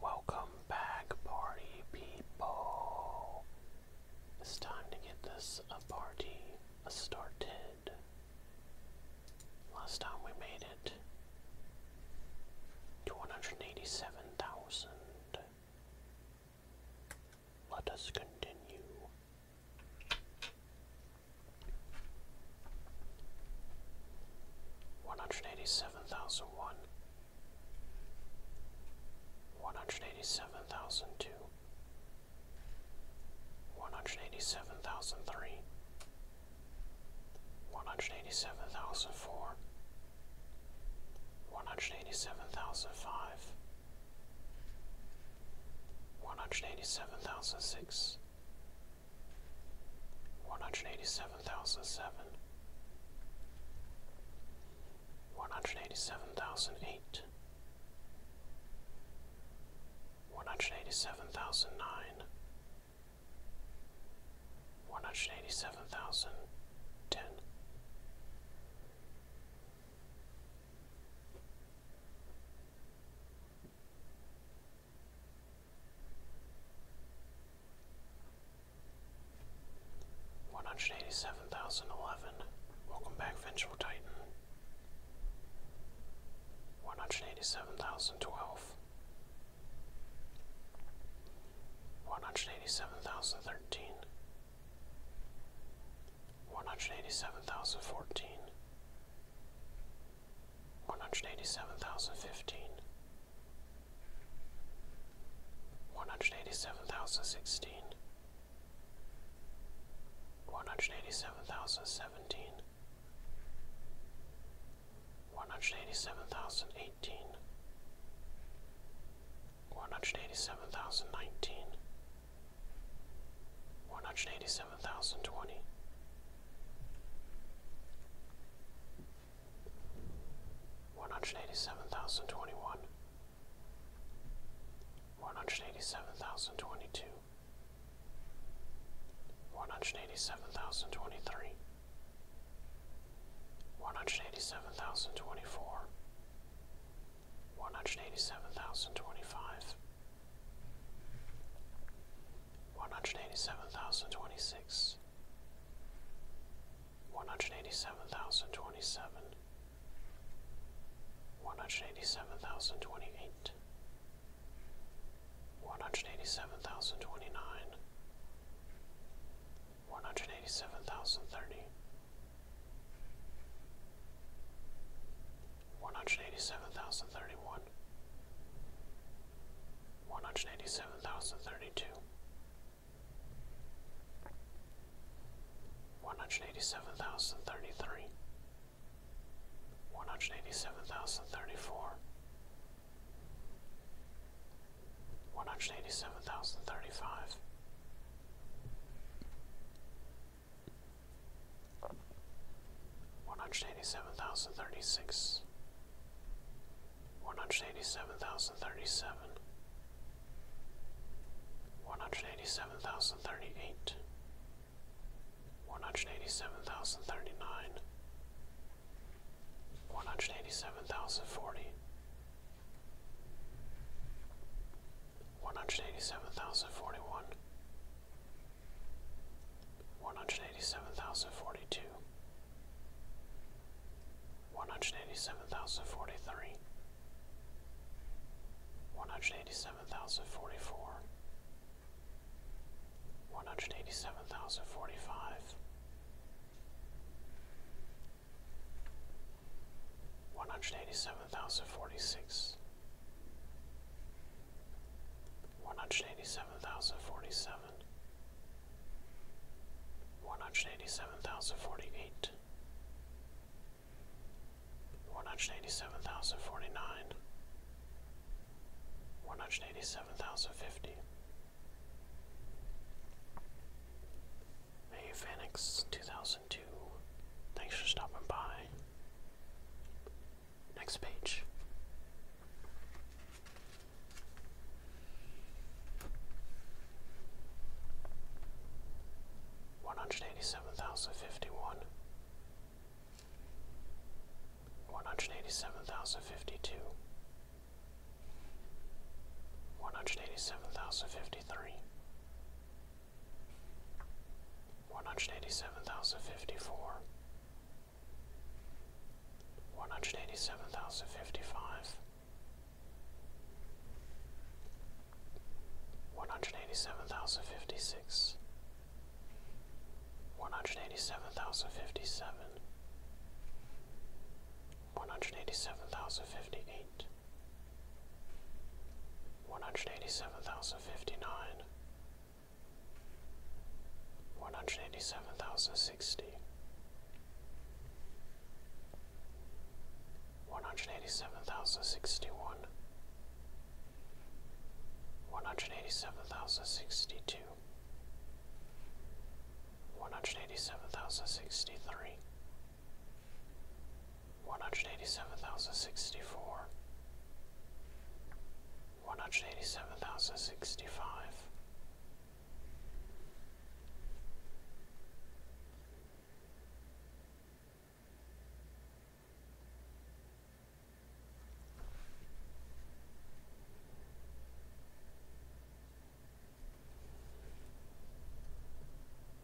Welcome back, party people. It's time to get this uh, party started. Last time we made it to 187,000. Let us continue. One hundred eighty seven thousand one one hundred eighty seven thousand two, one hundred eighty seven thousand three, one hundred eighty seven thousand four, one hundred eighty seven thousand five, one hundred eighty seven thousand six, one hundred eighty seven thousand seven one hundred eighty seven thousand eight, one hundred eighty seven thousand nine, one hundred eighty seven thousand ten. One hundred eighty seven thousand eleven. Welcome back, Vengeful Titan. One hundred eighty seven thousand twelve. One hundred eighty seven thousand thirteen. One hundred eighty seven thousand fourteen. One hundred eighty seven thousand fifteen one hundred eighty seven thousand sixteen, one hundred eighty seven thousand seventeen, one hundred eighty seven thousand eighteen, one hundred eighty seven thousand nineteen, one hundred eighty seven thousand twenty one hundred eighty seven thousand twenty one, one hundred eighty seven thousand twenty two, one hundred eighty seven thousand twenty three, one hundred eighty seven thousand twenty four, one hundred eighty seven thousand twenty five. One hundred eighty seven thousand twenty six, one hundred eighty seven thousand twenty seven, one hundred eighty seven thousand twenty eight, one hundred eighty seven thousand twenty nine, one hundred eighty seven thousand thirty, one hundred eighty seven thousand thirty one. One hundred eighty seven thousand thirty two, one hundred eighty seven thousand thirty three, one hundred eighty seven thousand thirty four, one hundred eighty seven thousand thirty five. One hundred eighty seven thousand thirty six, one hundred eighty seven thousand thirty seven, one hundred eighty seven thousand thirty eight, one hundred eighty seven thousand thirty nine, one hundred eighty seven thousand forty, one hundred eighty seven thousand forty one. One hundred eighty seven thousand forty two, one hundred eighty seven thousand forty three, one hundred eighty seven thousand forty four, one hundred eighty seven thousand forty five, one hundred eighty seven thousand forty six, one hundred eighty seven thousand forty seven one hundred eighty seven thousand forty eight, one hundred eighty seven thousand forty nine, one hundred eighty seven thousand fifty, a Phoenix two thousand two. Thanks for stopping by. Next page. One hundred eighty seven thousand fifty one, one hundred eighty seven thousand fifty two, one hundred eighty seven thousand fifty three, one hundred eighty seven thousand fifty four, one hundred eighty seven thousand fifty five one hundred eighty seven thousand fifty six, one hundred eighty seven thousand fifty seven, one hundred eighty seven thousand fifty eight, one hundred eighty seven thousand fifty nine, one hundred eighty seven thousand sixty one hundred eighty seven thousand sixty one, one hundred eighty seven thousand sixty two, one hundred eighty seven thousand sixty three, one hundred eighty seven thousand sixty four. One hundred eighty seven thousand sixty five,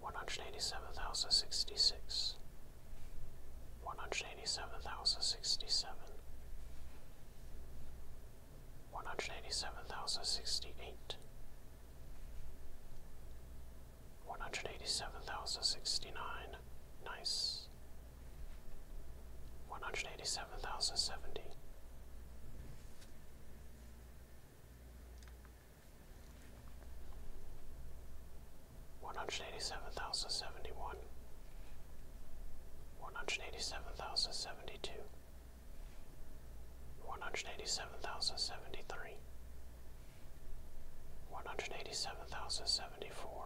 one hundred eighty seven thousand sixty six, one hundred eighty seven thousand sixty seven, one hundred eighty seven thousand sixty eight, one hundred eighty seven thousand sixty nine, nice, one hundred eighty seven thousand seventy. One hundred eighty seven thousand seventy one, one hundred eighty seven thousand seventy two, one hundred eighty seven thousand seventy three, one hundred eighty seven thousand seventy four,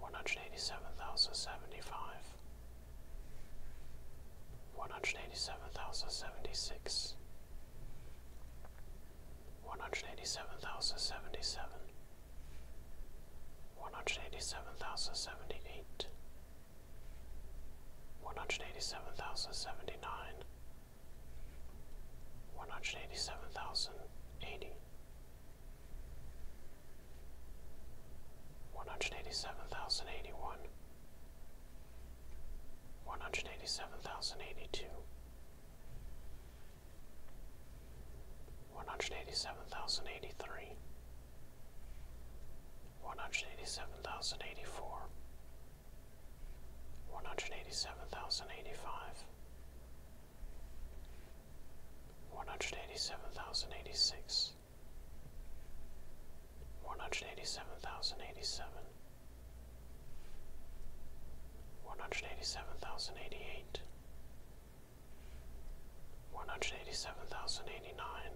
one hundred eighty seven thousand seventy five, one hundred eighty seven thousand seventy six, one hundred eighty seven thousand seventy seven. One hundred eighty seven thousand seventy eight, one hundred eighty seven thousand seventy nine, one hundred eighty seven thousand eighty, one hundred eighty seven thousand eighty one, one hundred eighty seven thousand eighty two, one hundred eighty seven thousand eighty three one hundred eighty seven thousand eighty four, one hundred eighty seven thousand eighty five, one hundred eighty seven thousand eighty six, one hundred eighty seven thousand eighty seven, one hundred eighty seven thousand eighty eight. One hundred eighty seven thousand eighty nine,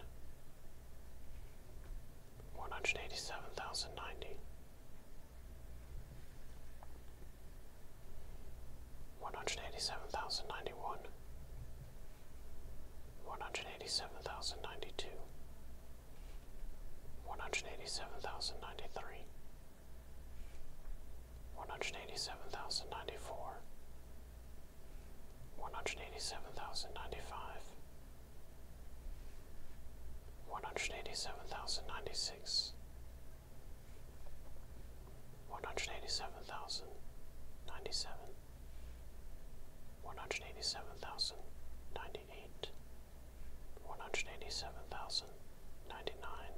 one hundred eighty-seven thousand ninety. one hundred eighty seven thousand ninety, one hundred eighty seven thousand ninety one, one hundred eighty seven thousand ninety two, one hundred eighty seven thousand ninety three. One hundred eighty seven thousand ninety four, one hundred eighty seven thousand ninety five, one hundred eighty seven thousand ninety six, one hundred eighty seven thousand ninety seven, one hundred eighty seven thousand ninety eight, one hundred eighty seven thousand ninety nine,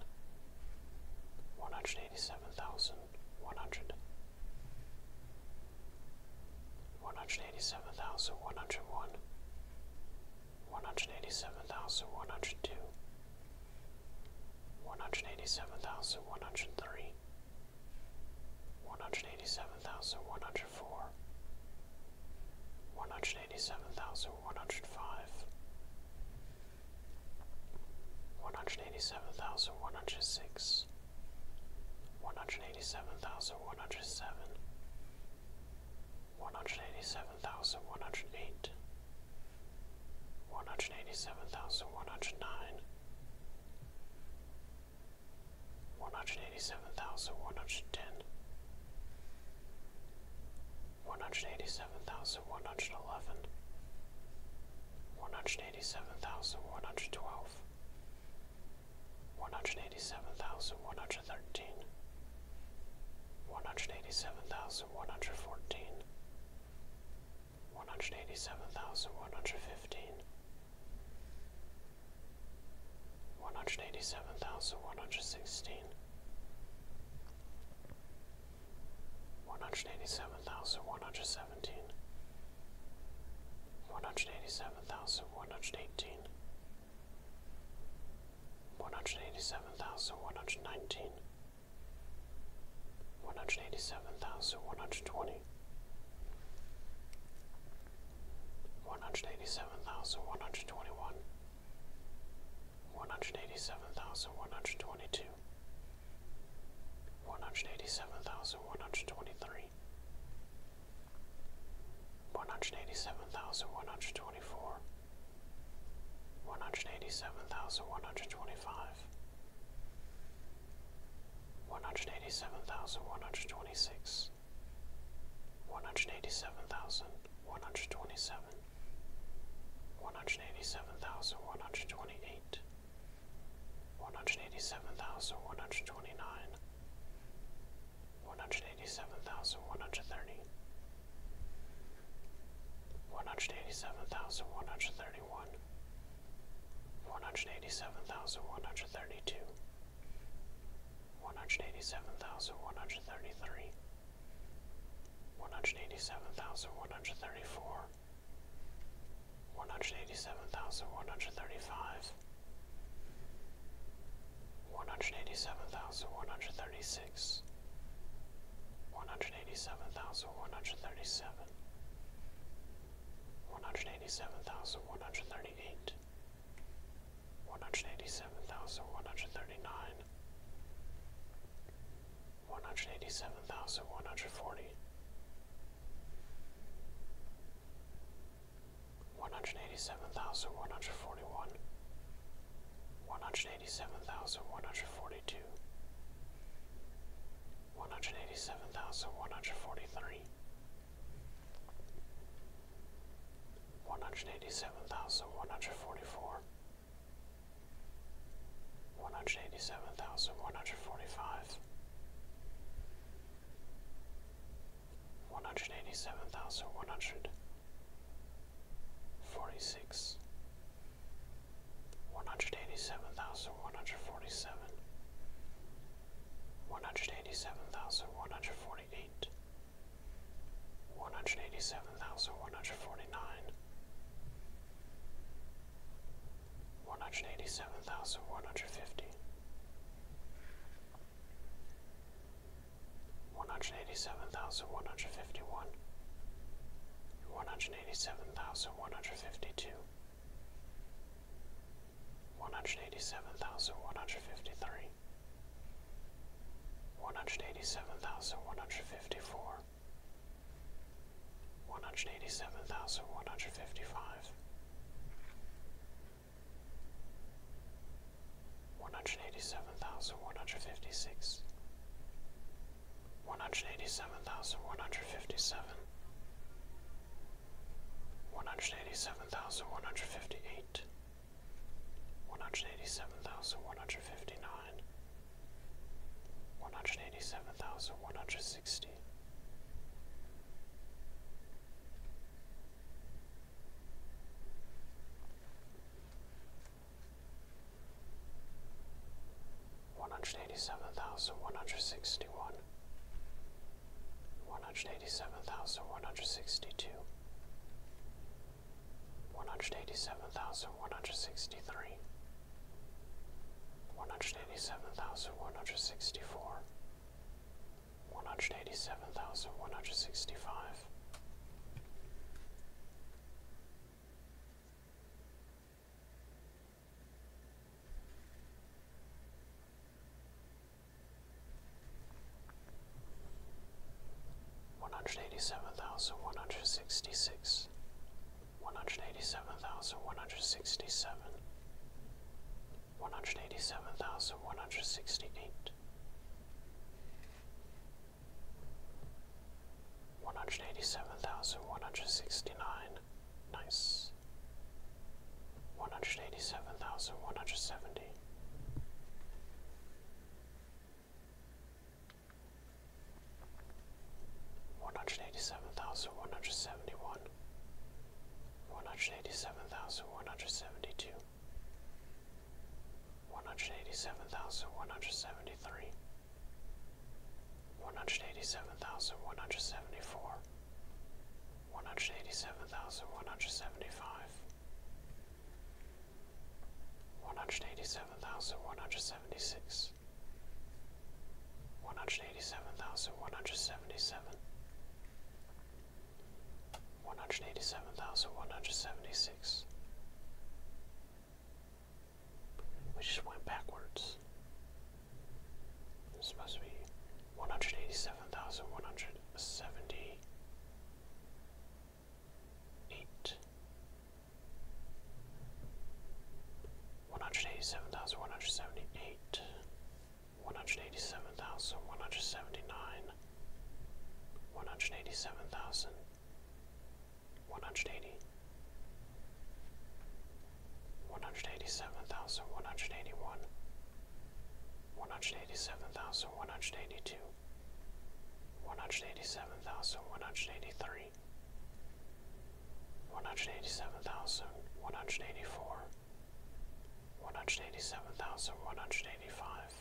one hundred eighty seven thousand one hundred one hundred eighty seven thousand one hundred one, one hundred eighty seven thousand one hundred two, one hundred eighty seven thousand one hundred three, one hundred eighty seven thousand one hundred four, one hundred eighty seven thousand one hundred five, one hundred eighty seven thousand one hundred six one hundred eighty seven thousand one hundred seven, one hundred eighty seven thousand one hundred eight, one hundred eighty seven thousand one hundred nine, one hundred eighty seven thousand one hundred ten, one hundred eighty seven thousand one hundred eleven. One hundred eighty seven thousand one hundred twelve, one hundred eighty seven thousand one hundred thirteen, one hundred eighty seven thousand one hundred fourteen, one hundred eighty seven thousand one hundred fifteen, one hundred eighty seven thousand one hundred sixteen, one hundred eighty seven thousand one hundred seventeen. thousand one hundred seventeen. One hundred eighty-seven seven thousand one hundred eighteen, one hundred eighty seven thousand one hundred nineteen, one hundred eighty seven thousand one hundred twenty, one hundred eighty seven thousand one hundred twenty one, one hundred eighty seven thousand one hundred twenty two. One hundred eighty seven thousand one hundred twenty three, one hundred eighty seven thousand one hundred twenty four, one hundred eighty seven thousand one hundred twenty five, one hundred eighty seven thousand one hundred twenty six, one hundred eighty seven thousand one hundred twenty seven, one hundred eighty seven thousand one hundred twenty eight. One hundred eighty seven thousand one hundred twenty nine, one hundred eighty seven thousand one hundred thirty, one hundred eighty seven thousand one hundred thirty one, one hundred eighty seven thousand one hundred thirty two, one hundred eighty seven thousand one hundred thirty three, one hundred eighty seven thousand one hundred thirty four one hundred eighty seven thousand one hundred thirty five, one hundred eighty seven thousand one hundred thirty six, one hundred eighty seven thousand one hundred thirty seven, one hundred eighty seven thousand one hundred thirty eight, one hundred eighty seven thousand one hundred thirty nine. One hundred eighty seven thousand one hundred forty, one hundred eighty seven thousand one hundred forty one, one hundred eighty seven thousand one hundred forty two, one hundred eighty seven thousand one hundred forty three, one hundred eighty seven thousand one hundred forty four. One hundred eighty seven thousand one hundred forty five, one hundred eighty seven thousand one hundred forty six one hundred eighty seven thousand one hundred forty seven one hundred eighty seven thousand one hundred forty eight one hundred eighty seven thousand one hundred forty nine one hundred eighty seven thousand one hundred fifty one hundred eighty seven thousand one hundred fifty one, one hundred eighty seven thousand one hundred fifty two, one hundred eighty seven thousand one hundred fifty three, one hundred eighty seven thousand one hundred fifty four. One hundred eighty seven thousand one hundred fifty five, one hundred eighty seven thousand one hundred fifty six, one hundred eighty seven thousand one hundred fifty seven, one hundred eighty seven thousand one hundred fifty eight, one hundred eighty seven thousand one hundred fifty nine, one hundred eighty seven thousand one hundred sixty. One hundred eighty seven thousand one hundred sixty one, one hundred eighty seven thousand one hundred sixty two, one hundred eighty seven thousand one hundred sixty three, one hundred eighty seven thousand one hundred sixty four one hundred eighty seven thousand one hundred sixty five. One hundred eighty seven thousand one hundred sixty six, one hundred eighty seven thousand one hundred sixty seven, one hundred eighty seven thousand one hundred sixty eight, one hundred eighty seven thousand one hundred sixty nine, nice, one hundred eighty seven thousand one hundred seventy. One hundred eighty seven thousand one hundred seventy one, one hundred eighty seven thousand one hundred seventy two, one hundred eighty seven thousand one hundred seventy three, one hundred eighty seven thousand one hundred seventy four, one hundred eighty seven thousand one hundred seventy five, one hundred eighty seven thousand one hundred seventy six. One hundred eighty seven thousand one hundred seventy seven, one hundred eighty seven thousand one hundred seventy six. We just went backwards. This must be one hundred eighty seven thousand one hundred seventy eight. One hundred eighty seven thousand one hundred seventy eight one hundred eighty seven thousand one hundred seventy nine, one hundred eighty seven thousand one hundred eighty, one hundred eighty seven thousand one hundred eighty one, one hundred eighty seven thousand one hundred eighty two, one hundred eighty seven thousand one hundred eighty three. One hundred eighty seven thousand one hundred eighty four, one hundred eighty seven thousand one hundred eighty five,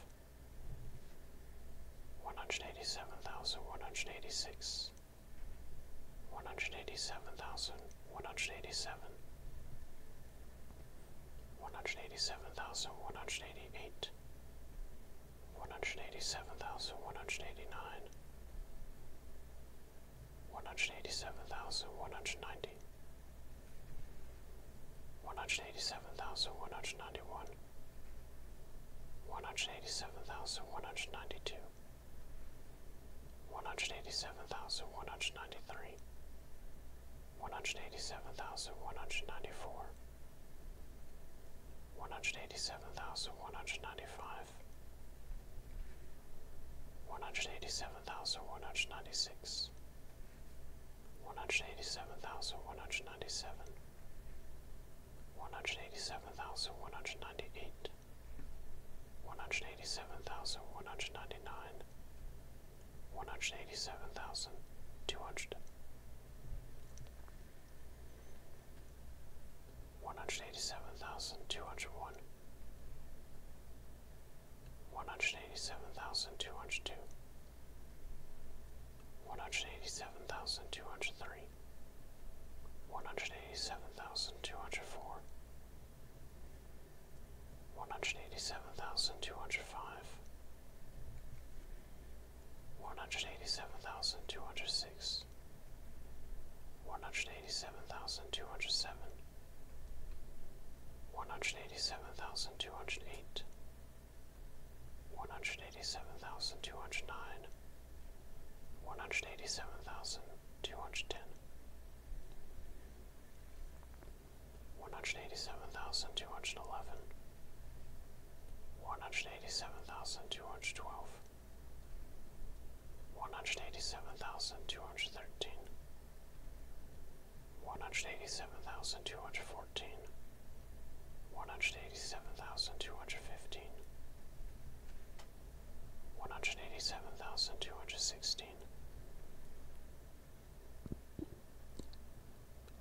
one hundred eighty seven thousand one hundred eighty six, one hundred eighty seven thousand one hundred eighty seven, one hundred eighty seven thousand one hundred eighty eight, one hundred eighty seven thousand one hundred eighty nine. One hundred eighty seven thousand one hundred ninety, one hundred eighty seven thousand one hundred ninety one, one hundred eighty seven thousand one hundred ninety two, one hundred eighty seven thousand one hundred ninety three, one hundred eighty seven thousand one hundred ninety four, one hundred eighty seven thousand one hundred ninety five. One hundred eighty seven thousand one hundred ninety six, one hundred eighty seven thousand one hundred ninety seven, one hundred eighty seven thousand one hundred ninety eight, one hundred eighty seven thousand one hundred ninety nine, one hundred eighty seven thousand two hundred. 187201 one hundred eighty seven thousand two hundred two, one hundred eighty seven thousand two hundred three, one hundred eighty seven thousand two hundred four, one hundred eighty seven thousand two hundred five, one hundred eighty seven thousand two hundred six, one hundred eighty seven thousand two hundred seven one hundred eighty seven thousand two hundred eight, one hundred eighty seven thousand two hundred nine, one hundred eighty seven thousand two hundred ten, one hundred eighty seven thousand two hundred eleven, one hundred eighty seven thousand two hundred twelve. One hundred eighty seven thousand two hundred thirteen, one hundred eighty-seven thousand two hundred fourteen. One hundred eighty-seven thousand two hundred fifteen. One hundred eighty-seven thousand two hundred sixteen.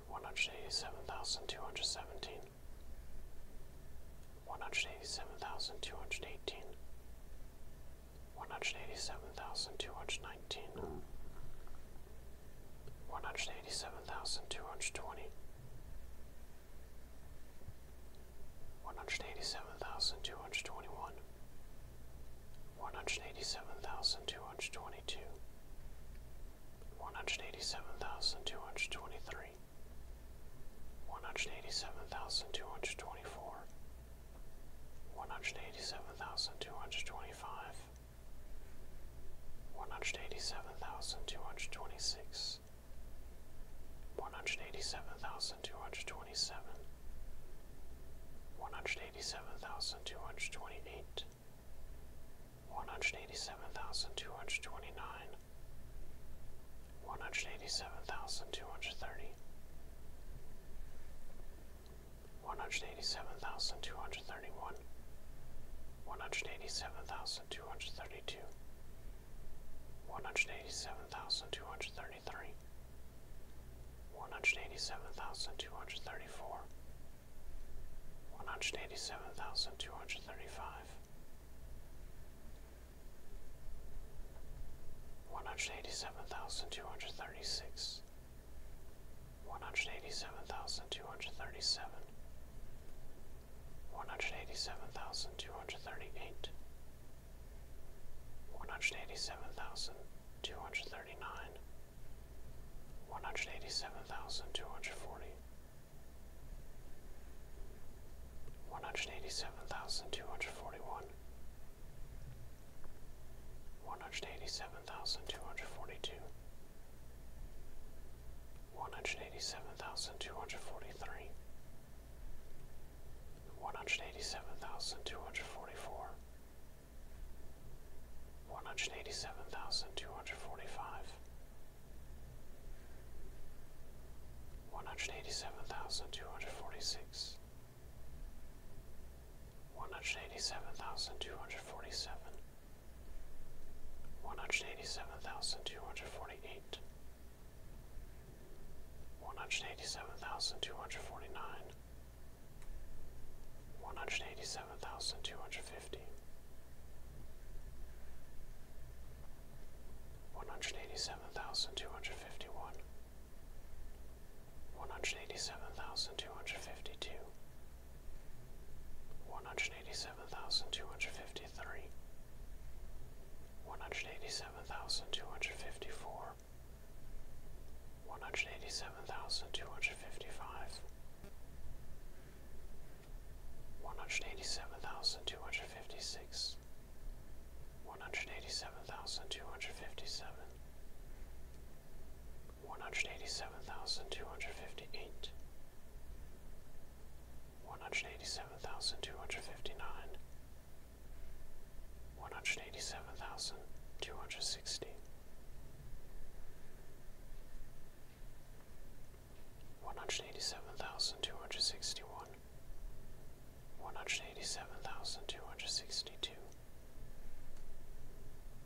One hundred eighty-seven thousand two hundred seventeen. One hundred eighty-seven thousand two hundred eighteen. One hundred eighty-seven thousand two hundred nineteen. One hundred eighty-seven thousand two hundred twenty. One hundred eighty-seven thousand two hundred twenty-one. thousand two hundred twenty, one hundred eighty seven thousand two hundred twenty one, one hundred eighty seven thousand two hundred twenty two, one hundred eighty seven thousand two hundred twenty three. One hundred eighty seven thousand two hundred twenty four, one hundred eighty seven thousand two hundred twenty five, one hundred eighty seven thousand two hundred twenty six, one hundred eighty seven thousand two hundred twenty seven, one hundred eighty seven thousand two hundred twenty eight, one hundred eighty seven thousand two hundred twenty nine, one hundred eighty seven thousand two hundred thirty one hundred eighty seven thousand two hundred thirty one, one hundred eighty seven thousand two hundred thirty two, one hundred eighty seven thousand two hundred thirty three, one hundred eighty seven thousand two hundred thirty four, one hundred eighty seven thousand two hundred thirty five. 187236 one hundred eighty seven thousand two hundred thirty seven, one hundred eighty seven thousand two hundred thirty eight, one hundred eighty seven thousand two hundred thirty nine, one hundred eighty seven thousand two hundred forty. 187241 thousand two hundred forty-one. One hundred eighty-seven seven thousand two hundred forty two, one hundred eighty seven thousand two hundred forty three, one hundred eighty seven thousand two hundred forty four, one hundred eighty seven thousand two hundred forty five, one hundred eighty seven thousand two hundred forty six one hundred eighty seven thousand two hundred forty seven, one hundred eighty seven thousand two hundred forty eight, one hundred eighty seven thousand two hundred forty nine, one hundred eighty seven thousand two hundred fifty. 187251 one hundred eighty seven thousand two hundred fifty two, one hundred eighty seven thousand two hundred fifty three, one hundred eighty seven thousand two hundred fifty four, one hundred eighty seven thousand two hundred fifty five, one hundred eighty seven thousand two hundred fifty six. One hundred eighty seven thousand two hundred fifty seven, one hundred eighty seven thousand two hundred fifty eight, one hundred eighty seven thousand two hundred fifty nine, one hundred eighty seven thousand two hundred sixty, one hundred eighty seven thousand two hundred sixty one, one hundred eighty seven thousand two hundred sixty two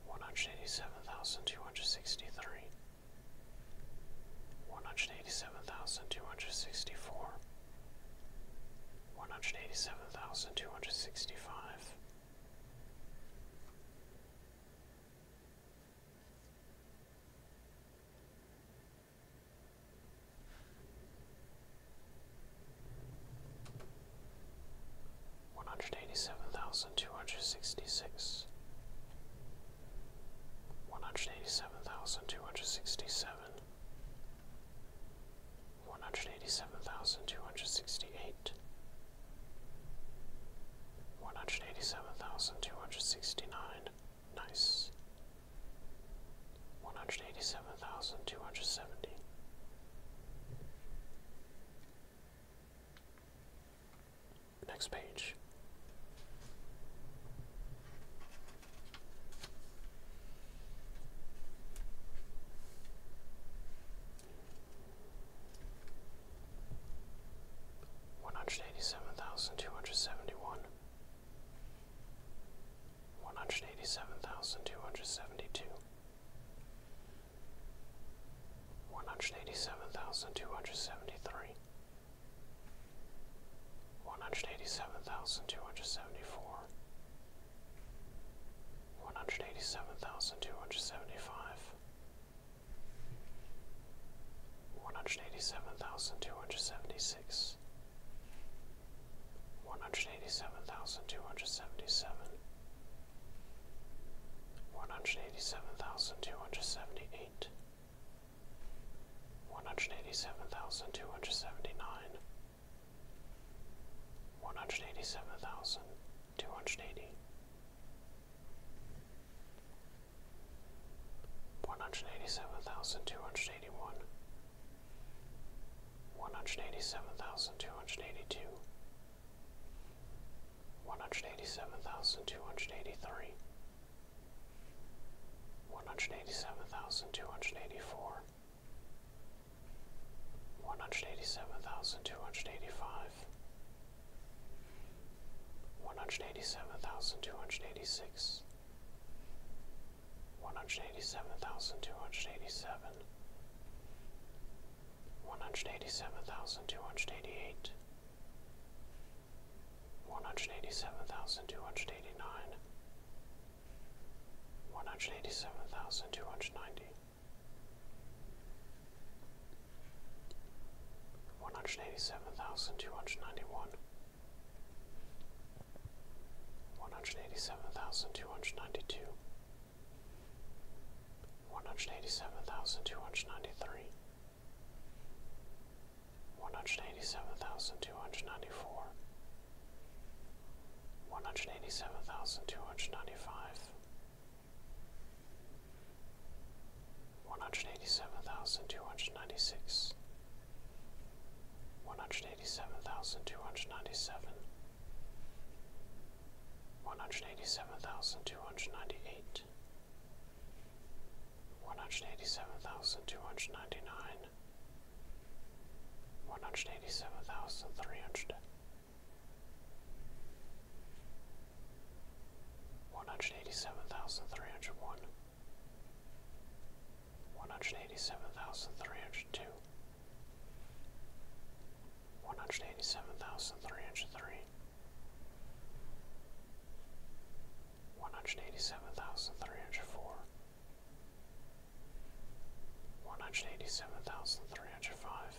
one hundred eighty seven thousand two hundred sixty three, one hundred eighty seven thousand two hundred sixty four, one hundred eighty seven thousand two hundred sixty five one hundred eighty seven thousand two hundred sixty six, one hundred eighty seven thousand two hundred sixty seven, one hundred eighty seven thousand two hundred sixty eight, one hundred eighty seven thousand two hundred sixty nine, nice. One hundred eighty seven thousand two hundred seventy. Next page. One hundred eighty seven thousand two hundred seventy one, one hundred eighty seven thousand two hundred seventy two one hundred eighty seven thousand two hundred seventy three, one hundred eighty seven thousand two hundred seventy four, one hundred eighty seven thousand two hundred seventy five, one hundred eighty seven thousand two hundred seventy six. One hundred eighty seven thousand two hundred seventy seven, one hundred eighty seven thousand two hundred seventy eight, one hundred eighty seven thousand two hundred seventy nine, one hundred eighty seven thousand two hundred eighty, one hundred eighty seven thousand two hundred eighty one. One hundred eighty seven thousand two hundred eighty two, one hundred eighty seven thousand two hundred eighty three, one hundred eighty seven thousand two hundred eighty four, one hundred eighty seven thousand two hundred eighty five, one hundred eighty seven thousand two hundred eighty six, one hundred eighty seven thousand two hundred eighty seven one hundred eighty seven thousand two hundred eighty eight, one hundred eighty seven thousand two hundred eighty nine, one hundred eighty seven One hundred eighty-seven thousand two hundred ninety. One hundred eighty-seven thousand two hundred ninety-one. ninety one. One hundred eighty seven thousand two hundred ninety two, one hundred eighty seven thousand two hundred ninety three, one hundred eighty seven thousand two hundred ninety four, one hundred eighty seven thousand two hundred ninety five, one hundred eighty seven thousand two hundred ninety six. One hundred eighty seven thousand two hundred ninety seven, one hundred eighty seven thousand two hundred ninety eight, one hundred eighty seven thousand two hundred ninety nine, one hundred eighty seven thousand three hundred, one hundred eighty seven thousand three hundred one. One hundred eighty seven thousand three hundred two, one hundred eighty seven thousand three hundred three, one hundred eighty seven thousand three hundred four, one hundred eighty seven thousand three hundred five,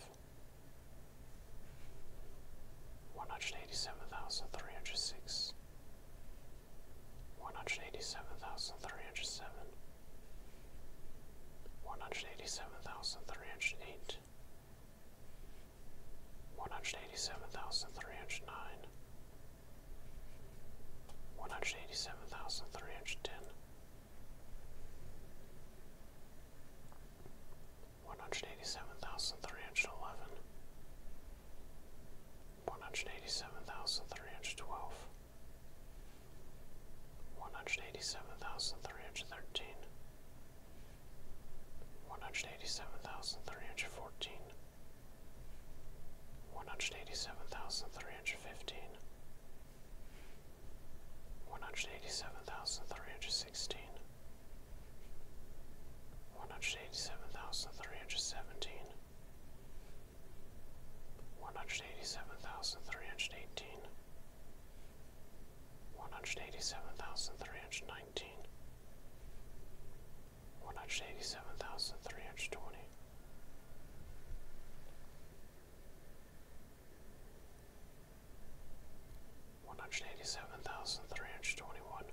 one hundred eighty seven thousand three hundred six, one hundred eighty seven thousand three hundred seven. One hundred eighty seven thousand three hundred eight, one hundred eighty seven thousand three hundred nine, one hundred eighty seven thousand One hundred eighty-seven thousand three hundred twelve. eighty seven thousand three hundred twelve. One hundred eighty seven thousand three hundred thirteen, one hundred eighty-seven thousand three hundred fourteen. One hundred eighty-seven thousand three hundred fifteen. One hundred eighty-seven thousand three hundred sixteen. One hundred eighty-seven thousand three hundred seventeen. One hundred eighty-seven thousand three hundred eighteen one hundred eighty seven thousand three hundred nineteen, one hundred eighty seven thousand three hundred twenty. One hundred eighty seven thousand three hundred twenty one,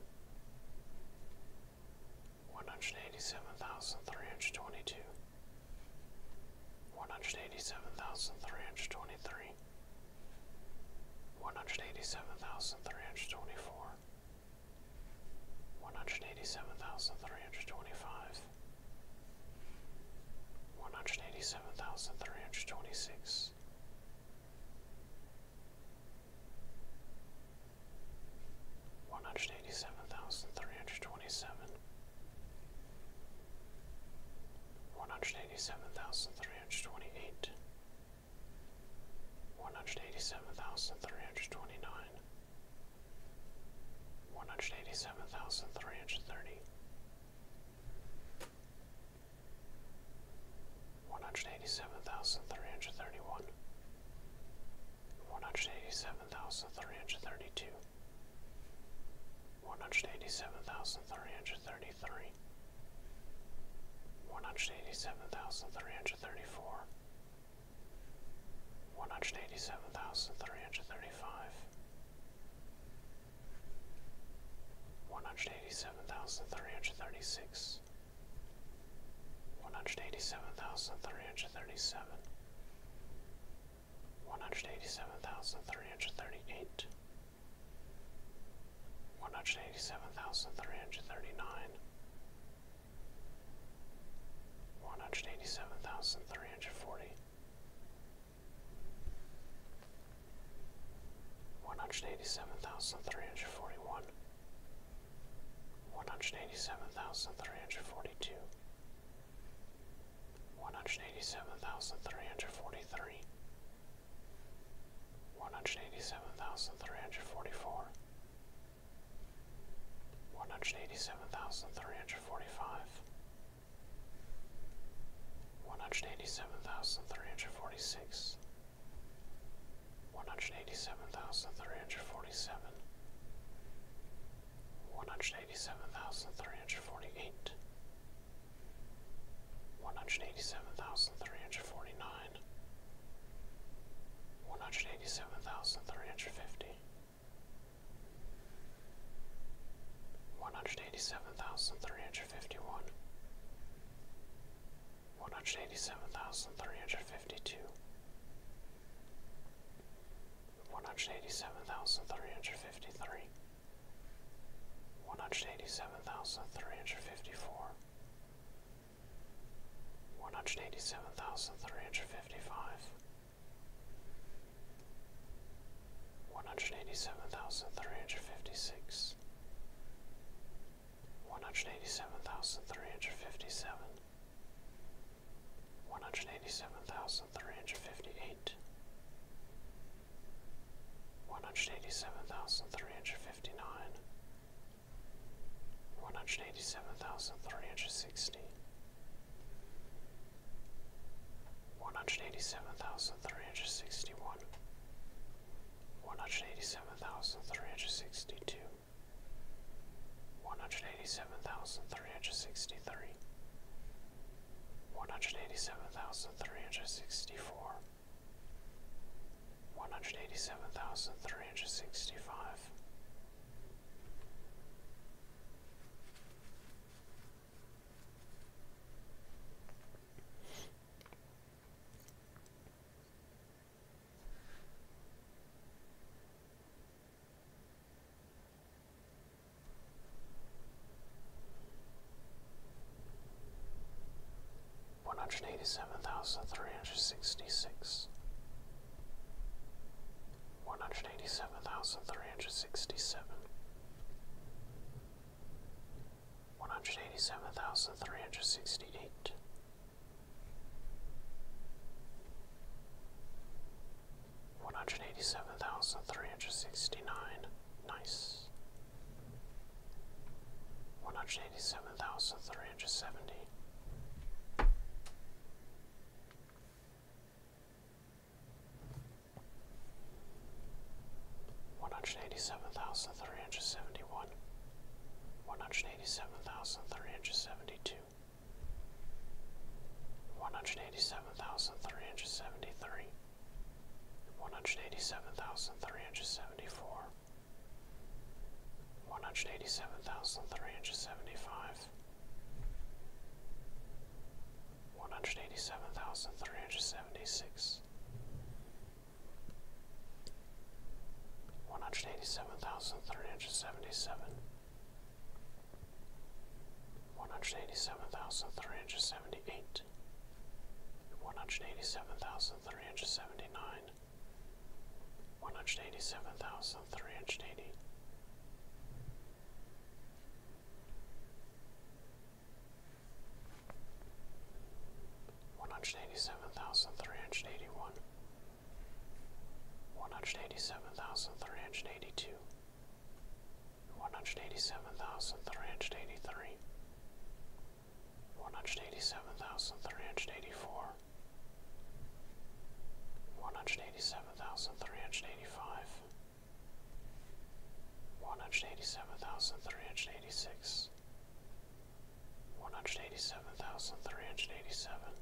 one hundred eighty seven thousand three hundred twenty two, one hundred eighty seven thousand three hundred twenty three, one hundred eighty seven thousand three hundred twenty four, one hundred eighty seven thousand three hundred twenty five, one hundred eighty seven thousand three hundred twenty six. One hundred eighty seven thousand three hundred twenty seven, one hundred eighty seven thousand three three hundred twenty eight, one hundred eighty seven thousand three hundred twenty nine, one hundred eighty seven thousand three hundred thirty, one hundred eighty seven thousand three hundred thirty one, one hundred eighty seven thousand three hundred thirty two one hundred eighty seven thousand three hundred thirty three, one hundred eighty seven thousand three hundred thirty four, one hundred eighty seven thousand three hundred thirty five, one hundred eighty seven thousand three hundred thirty six, one hundred eighty seven thousand three hundred thirty seven. One hundred eighty seven thousand three hundred thirty eight, one hundred eighty seven thousand three hundred thirty nine, one hundred One hundred eighty-seven thousand three hundred forty. One hundred eighty-seven thousand three hundred forty-one. three hundred forty one, one hundred eighty seven thousand three hundred forty two. One hundred eighty seven thousand three hundred forty three, one hundred eighty seven thousand three hundred forty four, one hundred eighty seven thousand three hundred forty five, one hundred eighty seven thousand three hundred forty six, one hundred eighty seven thousand three hundred forty seven. One hundred eighty seven thousand three hundred forty eight, one hundred eighty seven thousand three hundred forty nine, one hundred One hundred eighty-seven thousand three hundred fifty. One hundred eighty-seven thousand three hundred fifty-one. three hundred fifty one, one hundred eighty seven thousand three hundred fifty two. One hundred eighty seven thousand three hundred fifty three, one hundred eighty seven thousand three hundred fifty four, one hundred eighty seven thousand three hundred fifty five, one hundred eighty seven thousand three hundred fifty six, one hundred eighty seven thousand three hundred fifty seven. One hundred eighty seven thousand three hundred fifty eight, one hundred eighty seven thousand three hundred fifty nine, one hundred eighty seven thousand three hundred sixty, one hundred eighty seven thousand three hundred sixty one, one hundred eighty seven thousand three hundred sixty two. One hundred eighty seven thousand three hundred sixty three, one hundred eighty seven thousand three hundred sixty four, one hundred eighty seven thousand three hundred sixty five one hundred eighty seven thousand three hundred sixty six, one hundred eighty seven thousand three hundred sixty seven, one hundred eighty seven thousand three hundred sixty eight. One hundred eighty seven thousand three hundred sixty nine, Nice. One hundred eighty seven thousand three hundred seventy. One hundred eighty seven thousand three hundred seventy one. One hundred eighty seven thousand three hundred seventy two. One hundred eighty seven thousand three hundred seventy three. One hundred eighty seven thousand three hundred seventy four one hundred eighty seven thousand three hundred seventy five, one hundred eighty seven thousand three hundred seventy six, one hundred eighty seven thousand three hundred seventy seven. One hundred eighty seven thousand three hundred seventy eight, one hundred eighty seven thousand Three hundred seventy-nine. One hundred eighty-seven seven thousand three hundred eighty. One hundred eighty seven thousand three hundred eighty one, one hundred eighty seven thousand three hundred eighty two, one hundred eighty seven thousand three hundred eighty three, one hundred eighty seven thousand three hundred eighty four, one hundred eighty seven thousand three hundred eighty five, one hundred eighty seven thousand three hundred eighty six, one hundred eighty seven thousand three hundred eighty seven.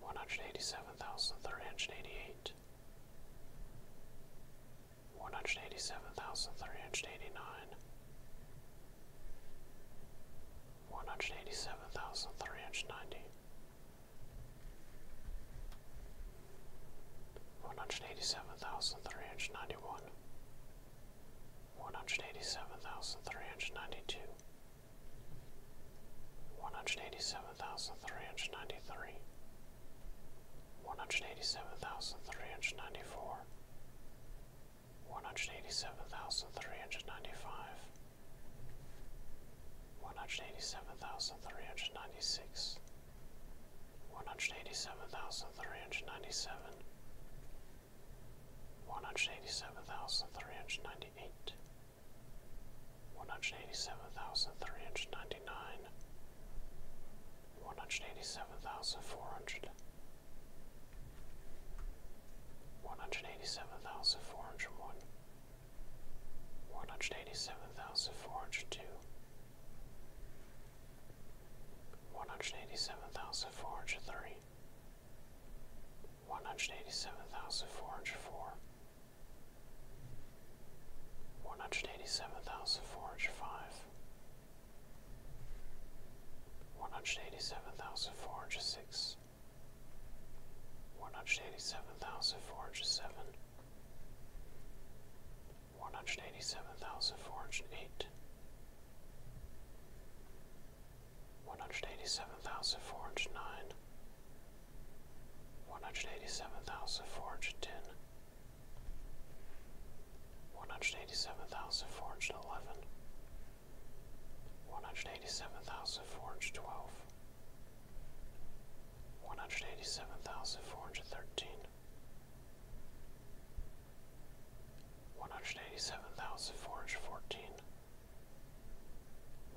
One hundred eighty seven thousand three hundred eighty eight, one hundred eighty seven thousand three hundred eighty nine, one hundred eighty seven thousand three hundred ninety, one hundred eighty seven thousand three hundred ninety one, one hundred eighty seven thousand three hundred ninety two. One hundred eighty seven thousand three hundred ninety three, one hundred eighty seven thousand three hundred ninety four, one hundred eighty seven thousand three hundred ninety five, one hundred eighty seven thousand three hundred ninety six, one hundred eighty seven thousand three hundred ninety seven. One hundred eighty seven thousand three hundred ninety eight, one hundred eighty seven thousand three hundred ninety ninety-nine, one hundred eighty-seven thousand four hundred, one hundred eighty-seven thousand four hundred one, one hundred eighty-seven thousand four hundred two, one hundred eighty-seven thousand four hundred three, one hundred eighty-seven thousand four hundred four one hundred eighty seven thousand four hundred five, one hundred eighty seven thousand four hundred six, one hundred eighty seven thousand four hundred seven, one hundred eighty seven thousand four hundred eight. One hundred eighty seven thousand four hundred nine, one hundred eighty seven thousand four hundred ten, one hundred eighty seven thousand four hundred eleven, one hundred eighty seven thousand four hundred twelve, one hundred eighty seven thousand four hundred thirteen, one hundred eighty seven thousand four hundred fourteen,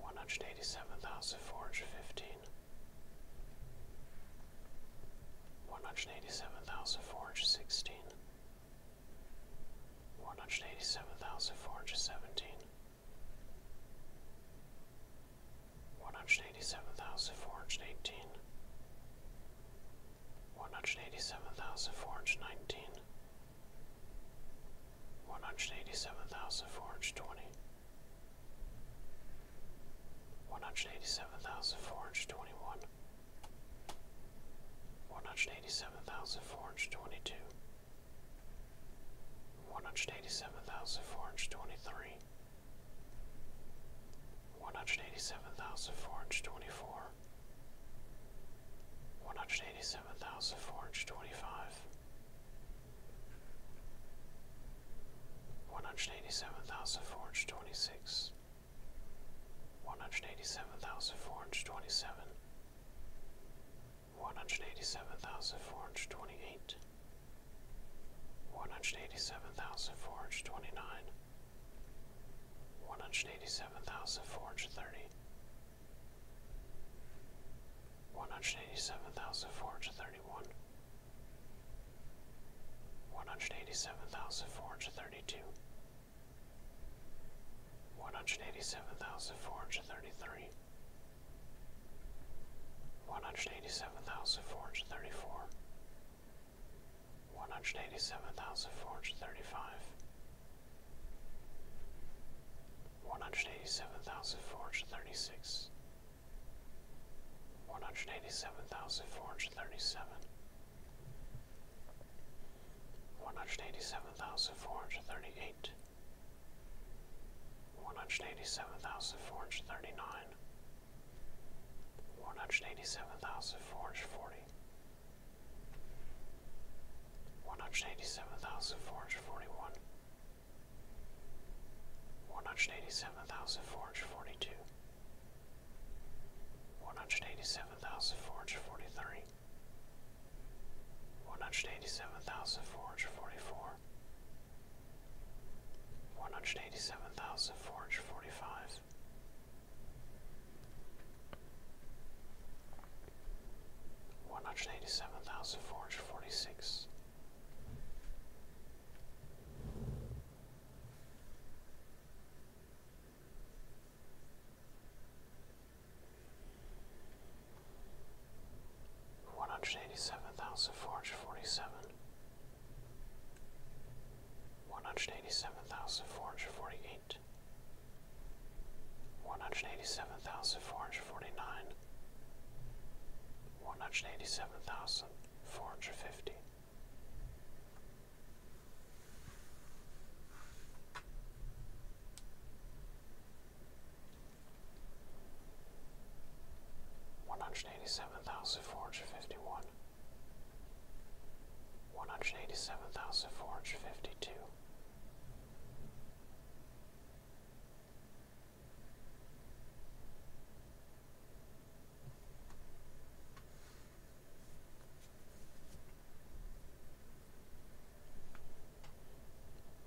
one hundred eighty seven thousand four hundred fifteen one hundred eighty seven thousand four hundred sixteen, one hundred eighty seven thousand four hundred seventeen, one hundred eighty seven thousand four hundred eighteen, one hundred eighty seven thousand four hundred nineteen, one hundred eighty seven thousand four hundred twenty one hundred eighty seven thousand four hundred twenty one, one hundred eighty seven thousand four hundred twenty two, one hundred eighty seven thousand four hundred twenty three, one hundred eighty seven thousand four hundred twenty four, one hundred eighty seven thousand four hundred twenty five. One hundred eighty seven thousand four hundred twenty six, six, one hundred eighty seven thousand four hundred twenty seven, one hundred eighty seven thousand four hundred twenty eight, one hundred eighty seven thousand four hundred twenty nine, one hundred eighty seven thousand four hundred thirty. One hundred eighty seven thousand four hundred thirty one, one hundred eighty seven thousand four hundred thirty two, one hundred eighty seven thousand four hundred thirty three, one hundred eighty seven thousand four hundred thirty four, one hundred eighty seven thousand four hundred thirty five, one hundred eighty seven thousand four hundred thirty six. 187436 one hundred eighty seven thousand four hundred thirty seven, one hundred eighty seven thousand four hundred thirty eight, one hundred eighty seven thousand four hundred thirty nine, one hundred eighty seven thousand four hundred forty. One hundred eighty seven thousand four hundred forty one, one hundred eighty seven thousand four hundred forty two, one hundred eighty seven thousand four hundred forty three, one hundred eighty seven thousand four hundred forty four, one hundred eighty seven thousand four hundred forty five. One hundred eighty seven thousand four hundred forty six, one hundred eighty seven thousand four hundred forty seven, one hundred eighty seven thousand four hundred forty eight, one hundred eighty seven thousand four hundred forty nine, one hundred eighty seven thousand four hundred fifty. One hundred eighty seven thousand four hundred fifty one, one hundred eighty seven thousand four hundred fifty two.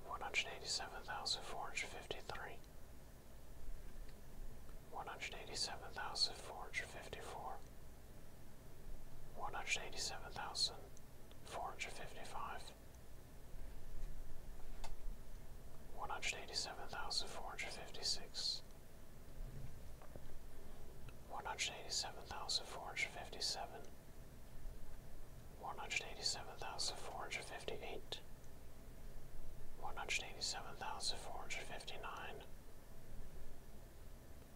One hundred eighty seven thousand four hundred fifty three, one hundred eighty seven thousand four hundred fifty four, one hundred eighty seven thousand four hundred fifty five, one hundred eighty seven thousand four hundred fifty six one hundred eighty seven thousand four hundred fifty seven, one hundred eighty seven thousand four hundred fifty eight, one hundred eighty seven thousand four hundred fifty nine,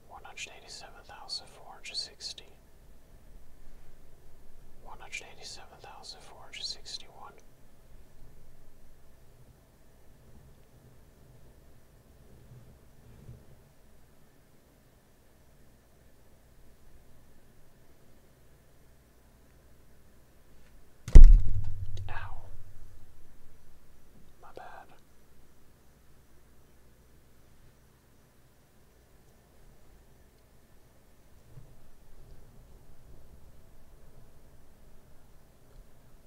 one hundred eighty seven thousand four hundred sixty, one hundred eighty seven thousand four hundred sixty one. Ow. My bad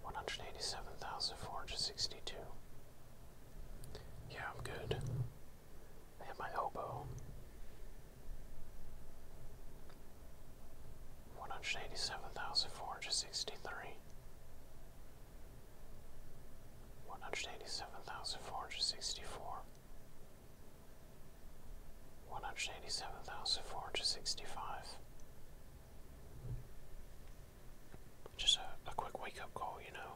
one hundred eighty seven thousand four hundred sixty two. Yeah, I'm good. I have my oboe. One hundred eighty seven thousand four hundred sixty three. One hundred eighty seven thousand four hundred sixty four. One hundred eighty seven thousand four hundred sixty five. Just a, quick wake up call, you know.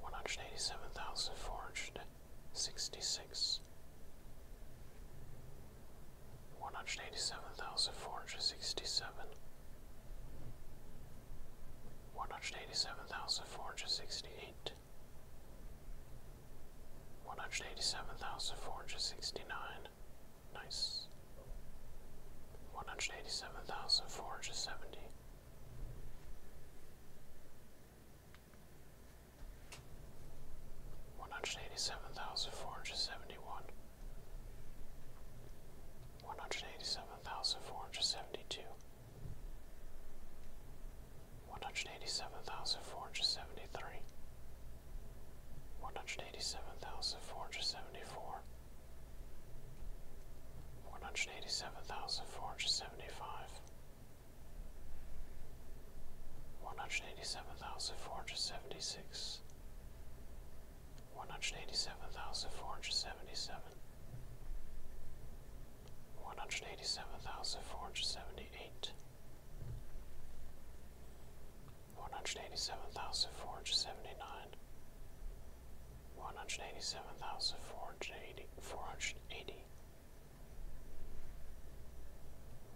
One hundred eighty seven thousand four hundred sixty six, one hundred eighty seven thousand four hundred sixty seven one hundred eighty seven thousand four hundred sixty eight, one hundred eighty seven thousand four hundred sixty nine, nice, one hundred eighty seven thousand four hundred seventy. One hundred eighty seven thousand four hundred seventy one, one hundred eighty seven thousand four hundred seventy two, one hundred eighty seven thousand four hundred seventy three, one hundred eighty seven thousand four hundred seventy four, one hundred eighty seven thousand four hundred seventy five. One hundred eighty seven thousand four hundred seventy six, one hundred eighty seven thousand four hundred seventy seven, one hundred eighty seven thousand four hundred seventy eight, one hundred eighty seven thousand four hundred seventy nine, one hundred eighty seven thousand four hundred eighty four hundred eighty.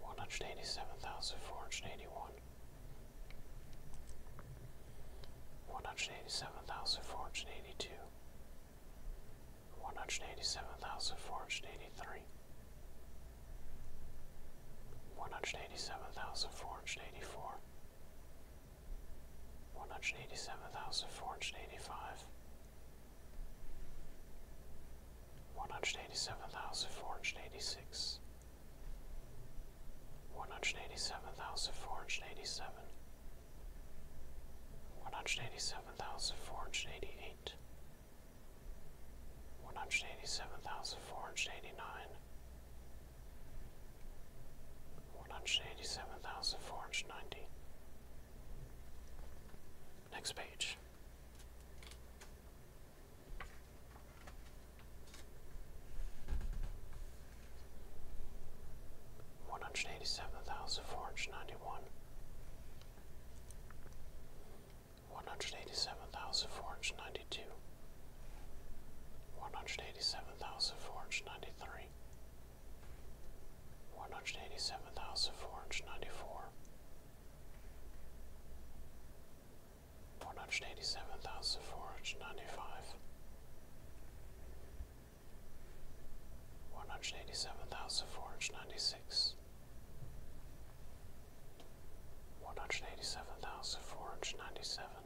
One hundred eighty seven thousand four hundred eighty one, one hundred eighty seven thousand four hundred eighty two, one hundred eighty seven thousand four hundred eighty three, one hundred eighty seven thousand four hundred eighty four, one hundred eighty seven thousand four hundred eighty five. One hundred eighty seven thousand four hundred eighty six, one hundred eighty seven thousand four hundred eighty seven, one hundred eighty seven thousand four hundred eighty eight, one hundred eighty seven thousand four hundred eighty nine, one hundred eighty seven thousand four hundred ninety. Next page one hundred eighty seven thousand four hundred ninety one, one hundred eighty seven thousand four hundred ninety two, one hundred eighty seven thousand four hundred ninety three, one hundred eighty seven thousand four hundred ninety four. One hundred eighty seven thousand four hundred ninety five, one hundred eighty seven thousand four hundred ninety six, one hundred eighty seven thousand four hundred ninety seven,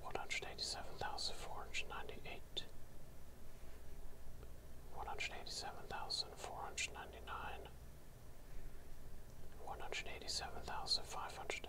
one hundred eighty seven thousand four hundred ninety eight, one hundred eighty seven thousand four hundred ninety nine. One hundred eighty seven thousand five hundred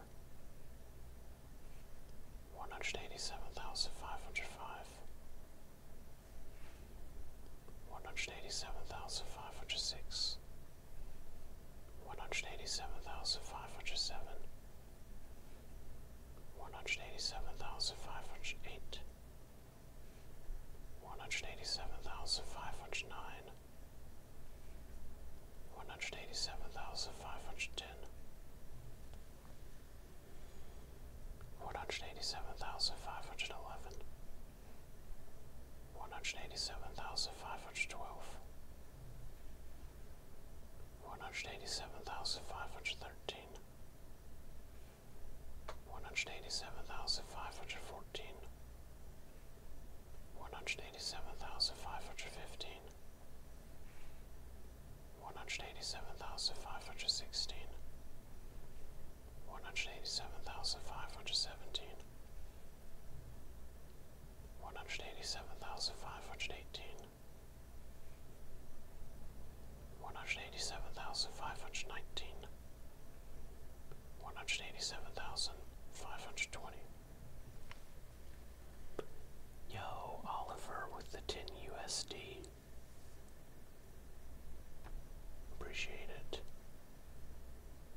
one hundred eighty seven thousand five hundred five, one hundred eighty seven thousand five hundred six, one hundred eighty seven thousand five hundred seven, one hundred eighty seven thousand five hundred eight. One hundred eighty seven thousand five hundred nine, one hundred eighty seven thousand five hundred one hundred eighty-seven thousand five hundred eleven. One hundred eighty-seven thousand five hundred twelve. One hundred eighty-seven thousand five hundred thirteen. One hundred eighty-seven thousand five hundred fourteen. One hundred eighty-seven thousand five hundred fifteen one hundred eighty seven thousand five hundred sixteen, one hundred eighty seven thousand five hundred seventeen, one hundred eighty seven thousand five hundred eighteen, one hundred eighty seven thousand five hundred nineteen, one hundred eighty seven thousand five hundred twenty. Yo, Oliver with the 10 USD. Appreciate it.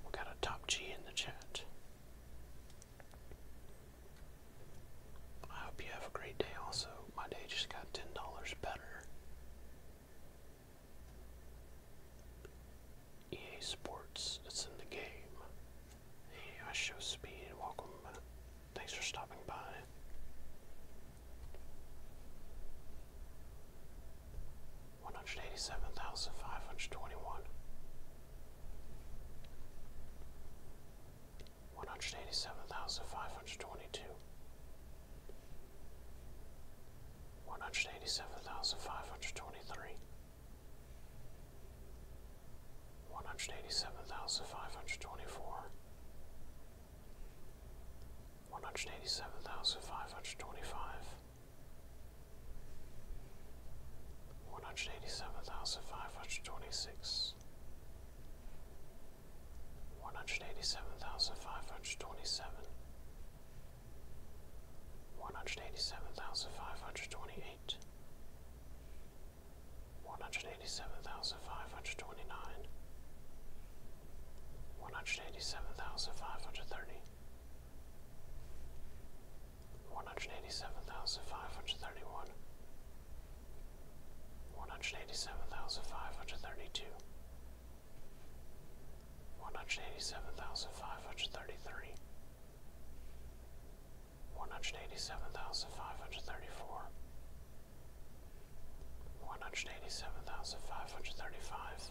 We got a top G in the chat. I hope you have a great day also. My day just got $10 better. EA Sports, it's in the game. Hey, I show speed. Welcome Thanks for stopping by. One hundred eighty seven thousand five hundred twenty one, one hundred eighty seven thousand five hundred twenty two, one hundred eighty seven thousand five hundred twenty three, one hundred eighty seven thousand five hundred twenty four, one hundred eighty seven thousand five hundred twenty five, one hundred eighty seven thousand five hundred twenty six, one hundred eighty seven thousand five hundred twenty seven. One hundred eighty seven thousand five hundred twenty eight, one hundred eighty seven thousand five hundred twenty nine, one hundred eighty seven thousand five hundred thirty, one hundred eighty seven thousand five hundred thirty one, one hundred eighty seven thousand five hundred thirty two, one hundred eighty seven thousand five hundred thirty three one hundred eighty seven thousand five hundred thirty four, one hundred eighty seven thousand five hundred thirty five,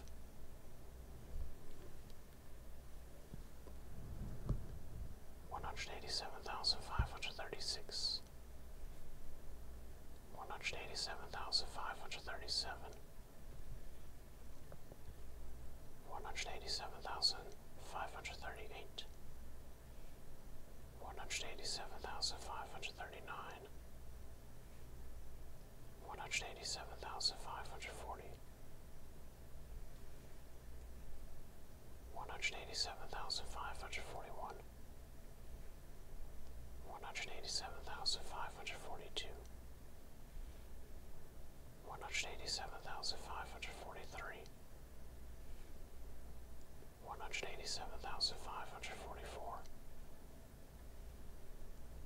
one hundred eighty seven thousand five hundred thirty six. One hundred eighty seven thousand five hundred thirty seven, one hundred eighty seven thousand five hundred thirty eight, one hundred eighty seven thousand five hundred thirty nine, one hundred One hundred eighty-seven thousand five hundred forty. One hundred eighty-seven thousand five hundred forty-one. five hundred forty one, one hundred eighty seven thousand five hundred forty two. One hundred eighty seven thousand five hundred forty three, one hundred eighty seven thousand five hundred forty four,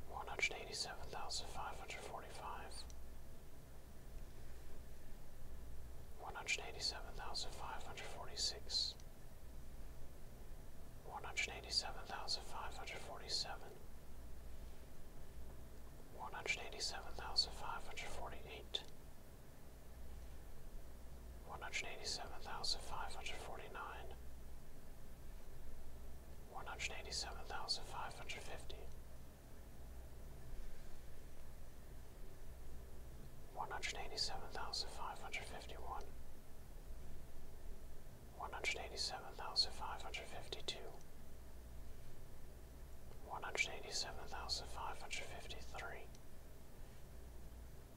one hundred eighty seven thousand five hundred forty five, one hundred eighty seven thousand five hundred forty six, one hundred eighty seven thousand five hundred forty seven. One hundred eighty seven thousand five hundred forty eight, one hundred eighty seven thousand five hundred forty nine, one hundred eighty seven thousand five hundred fifty, one hundred eighty seven thousand five hundred fifty one, one hundred eighty seven thousand five hundred fifty two one hundred eighty seven thousand five hundred fifty three,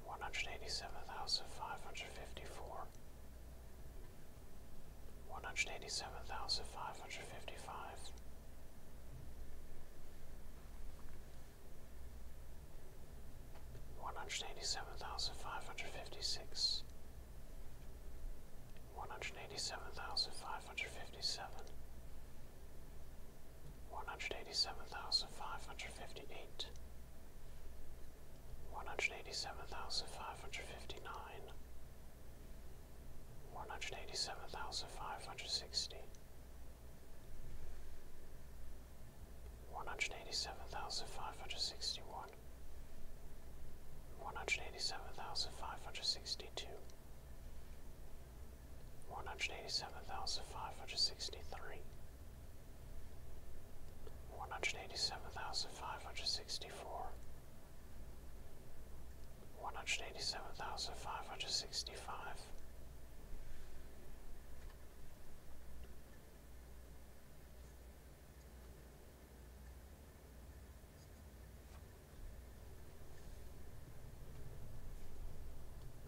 one hundred eighty seven thousand five hundred fifty four, one hundred eighty seven thousand five hundred fifty five. One hundred eighty seven thousand five hundred fifty six, one hundred eighty seven thousand five hundred fifty seven, one hundred eighty seven thousand five hundred fifty eight, one hundred eighty seven thousand five hundred fifty nine, one hundred eighty seven thousand five hundred sixty. One hundred eighty seven thousand five hundred sixty one, one hundred eighty seven thousand five hundred sixty two, one hundred eighty seven thousand five hundred sixty three, one hundred eighty seven thousand five hundred sixty four, one hundred eighty seven thousand five hundred sixty five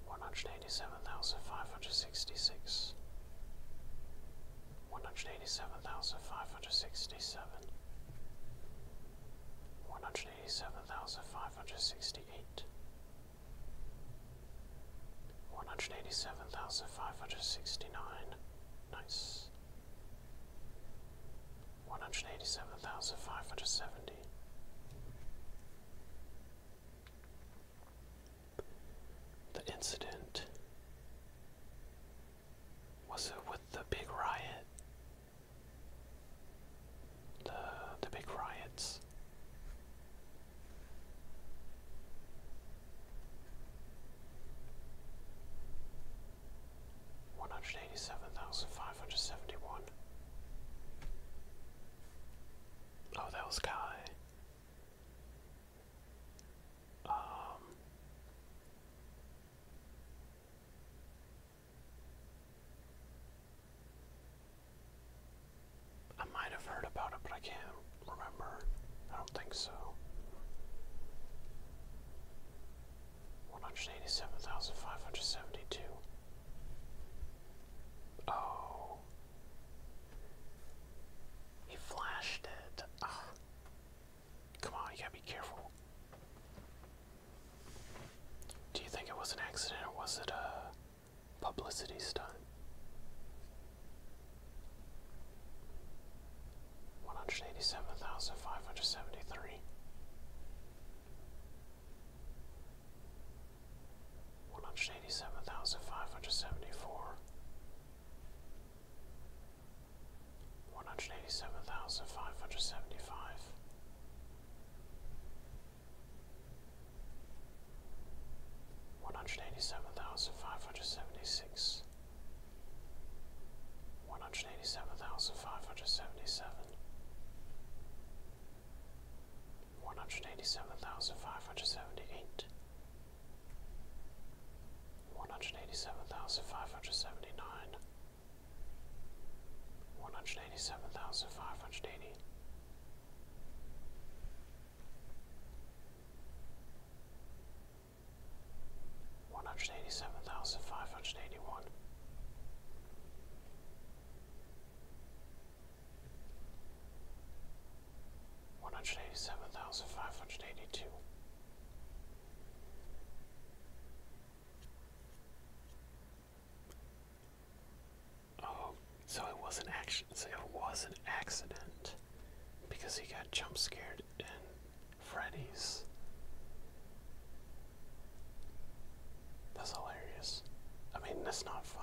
one hundred eighty seven thousand five hundred sixty six, one hundred eighty seven thousand five hundred sixty seven, one hundred eighty seven thousand five hundred sixty eight, one hundred eighty seven thousand five hundred sixty nine, nice. One hundred eighty seven thousand five hundred seventy the incident was it with the big riot? The the big riots. One hundred eighty seven thousand five hundred seventy one. Oh, that was guy. Um, I might have heard about it, but I can't remember. I don't think so. One hundred eighty-seven thousand five hundred seventy-two. Oh. He flashed it. Ah. Come on, you gotta be careful. Do you think it was an accident or was it a publicity stunt? 187,573 one hundred eighty seven thousand five hundred seventy four, one hundred eighty seven thousand five hundred seventy five, one hundred eighty seven thousand five hundred seventy six. One hundred eighty seven thousand five hundred seventy seven, one hundred eighty seven thousand five hundred seventy eight, one hundred eighty seven thousand five hundred seventy nine, one hundred eighty seven thousand five hundred eighty. One hundred eighty seven thousand five hundred eighty one, one hundred eighty seven thousand five hundred eighty two. Oh, so it was an action. So it was an accident because he got jump in Freddy's. That's hilarious. I mean, that's not funny.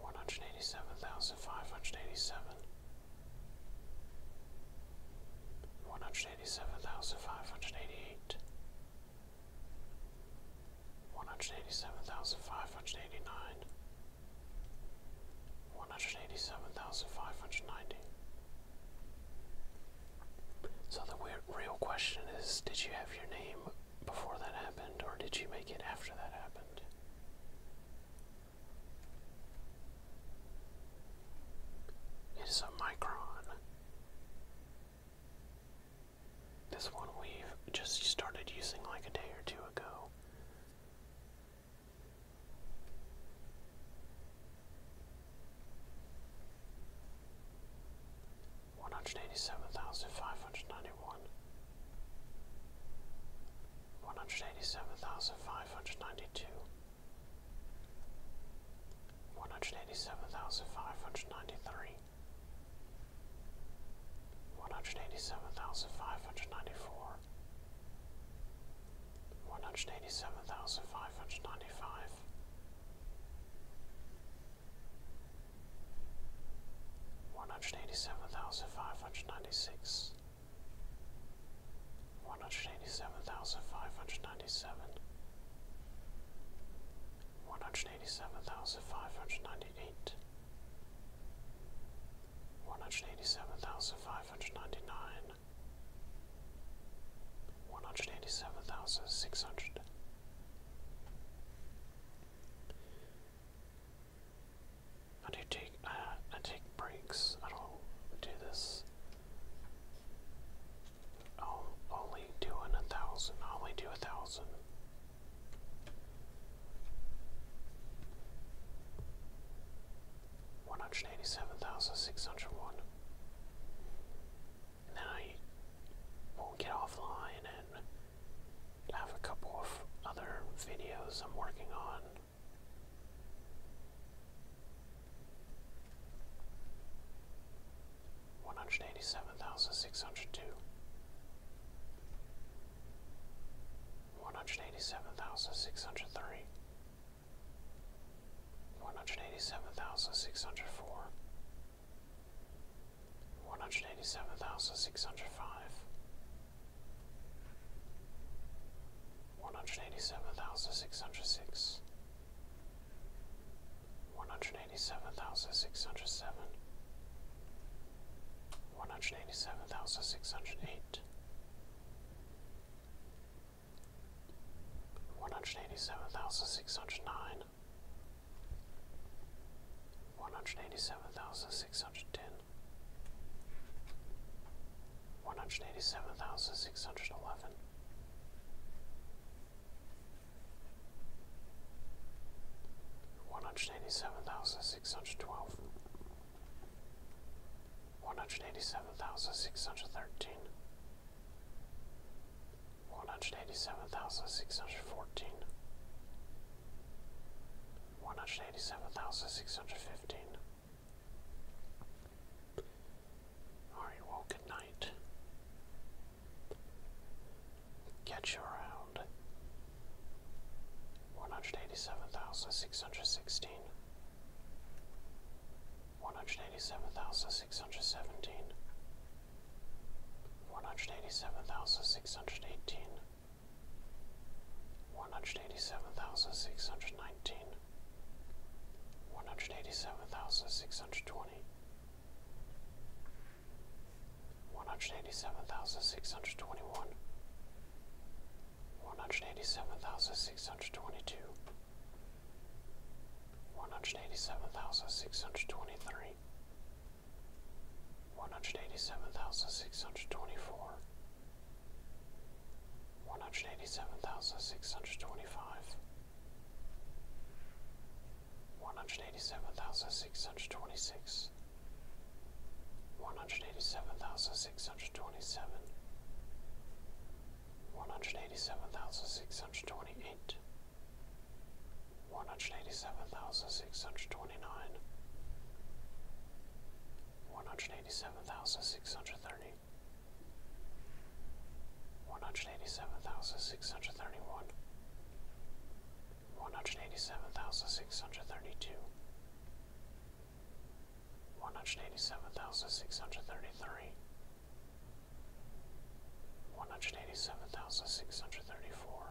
one hundred eighty seven thousand five hundred eighty seven, one hundred eighty seven thousand five hundred eighty eight, one hundred eighty seven thousand five hundred eighty nine, one hundred eighty seven thousand five hundred ninety. So the real question is, did you have your name before that happened, or did you make it after that happened? It is a micron. This one we've just started using like a day or two ago one hundred eighty seven thousand five hundred ninety one, one hundred eighty seven thousand five hundred ninety two, one hundred eighty seven thousand five hundred ninety three, one hundred eighty seven thousand five hundred ninety four. One hundred eighty seven thousand five hundred ninety five, one hundred eighty seven thousand five hundred ninety six, one hundred eighty seven thousand five hundred ninety seven, one hundred eighty seven thousand five hundred ninety eight, one hundred eighty seven thousand five hundred ninety nine, one hundred eighty seven thousand six hundred. 187,600 I do take uh, I take breaks. I don't do this. Oh, only doing a thousand. only do a thousand. One hundred eighty-seven thousand six hundred one. And we'll get offline and have a couple of other videos I'm working on. One hundred eighty seven thousand six hundred two, one hundred eighty seven thousand six hundred three, one hundred eighty seven thousand six hundred four, one hundred eighty seven thousand six hundred five, one hundred eighty seven thousand six hundred six, one hundred eighty seven thousand six hundred seven, one hundred eighty seven thousand six hundred eight. 187609 one hundred eighty seven thousand six hundred ten, one hundred eighty seven thousand six hundred eleven. One hundred eighty seven thousand six hundred twelve, one hundred eighty seven thousand six hundred thirteen, one hundred eighty seven thousand six hundred fourteen, one hundred eighty seven thousand six hundred fifteen. Alright, well, good night. Catch you around one hundred eighty seven thousand six hundred sixteen. One hundred eighty seven thousand six hundred seventeen, one hundred eighty-seven thousand six hundred eighteen. One hundred eighty-seven thousand six hundred nineteen. One hundred eighty-seven thousand six hundred twenty. One hundred eighty-seven thousand six hundred twenty-one. hundred eighty seven thousand six hundred twenty, one hundred eighty seven thousand six hundred twenty one, one hundred eighty seven thousand six hundred twenty two. One hundred eighty seven thousand six hundred twenty three, one hundred eighty seven thousand six hundred twenty four, one hundred eighty seven thousand six hundred twenty five, one hundred eighty seven thousand six hundred twenty six, one hundred eighty seven thousand six hundred twenty seven, one hundred eighty seven thousand six hundred twenty eight. 187628 one hundred eighty seven thousand six hundred twenty nine, one hundred One hundred eighty-seven thousand six hundred thirty. One hundred eighty-seven thousand six hundred thirty-one. six hundred thirty one, one hundred eighty seven thousand six hundred thirty two, one hundred eighty seven thousand six hundred thirty three one hundred eighty seven thousand six hundred thirty four,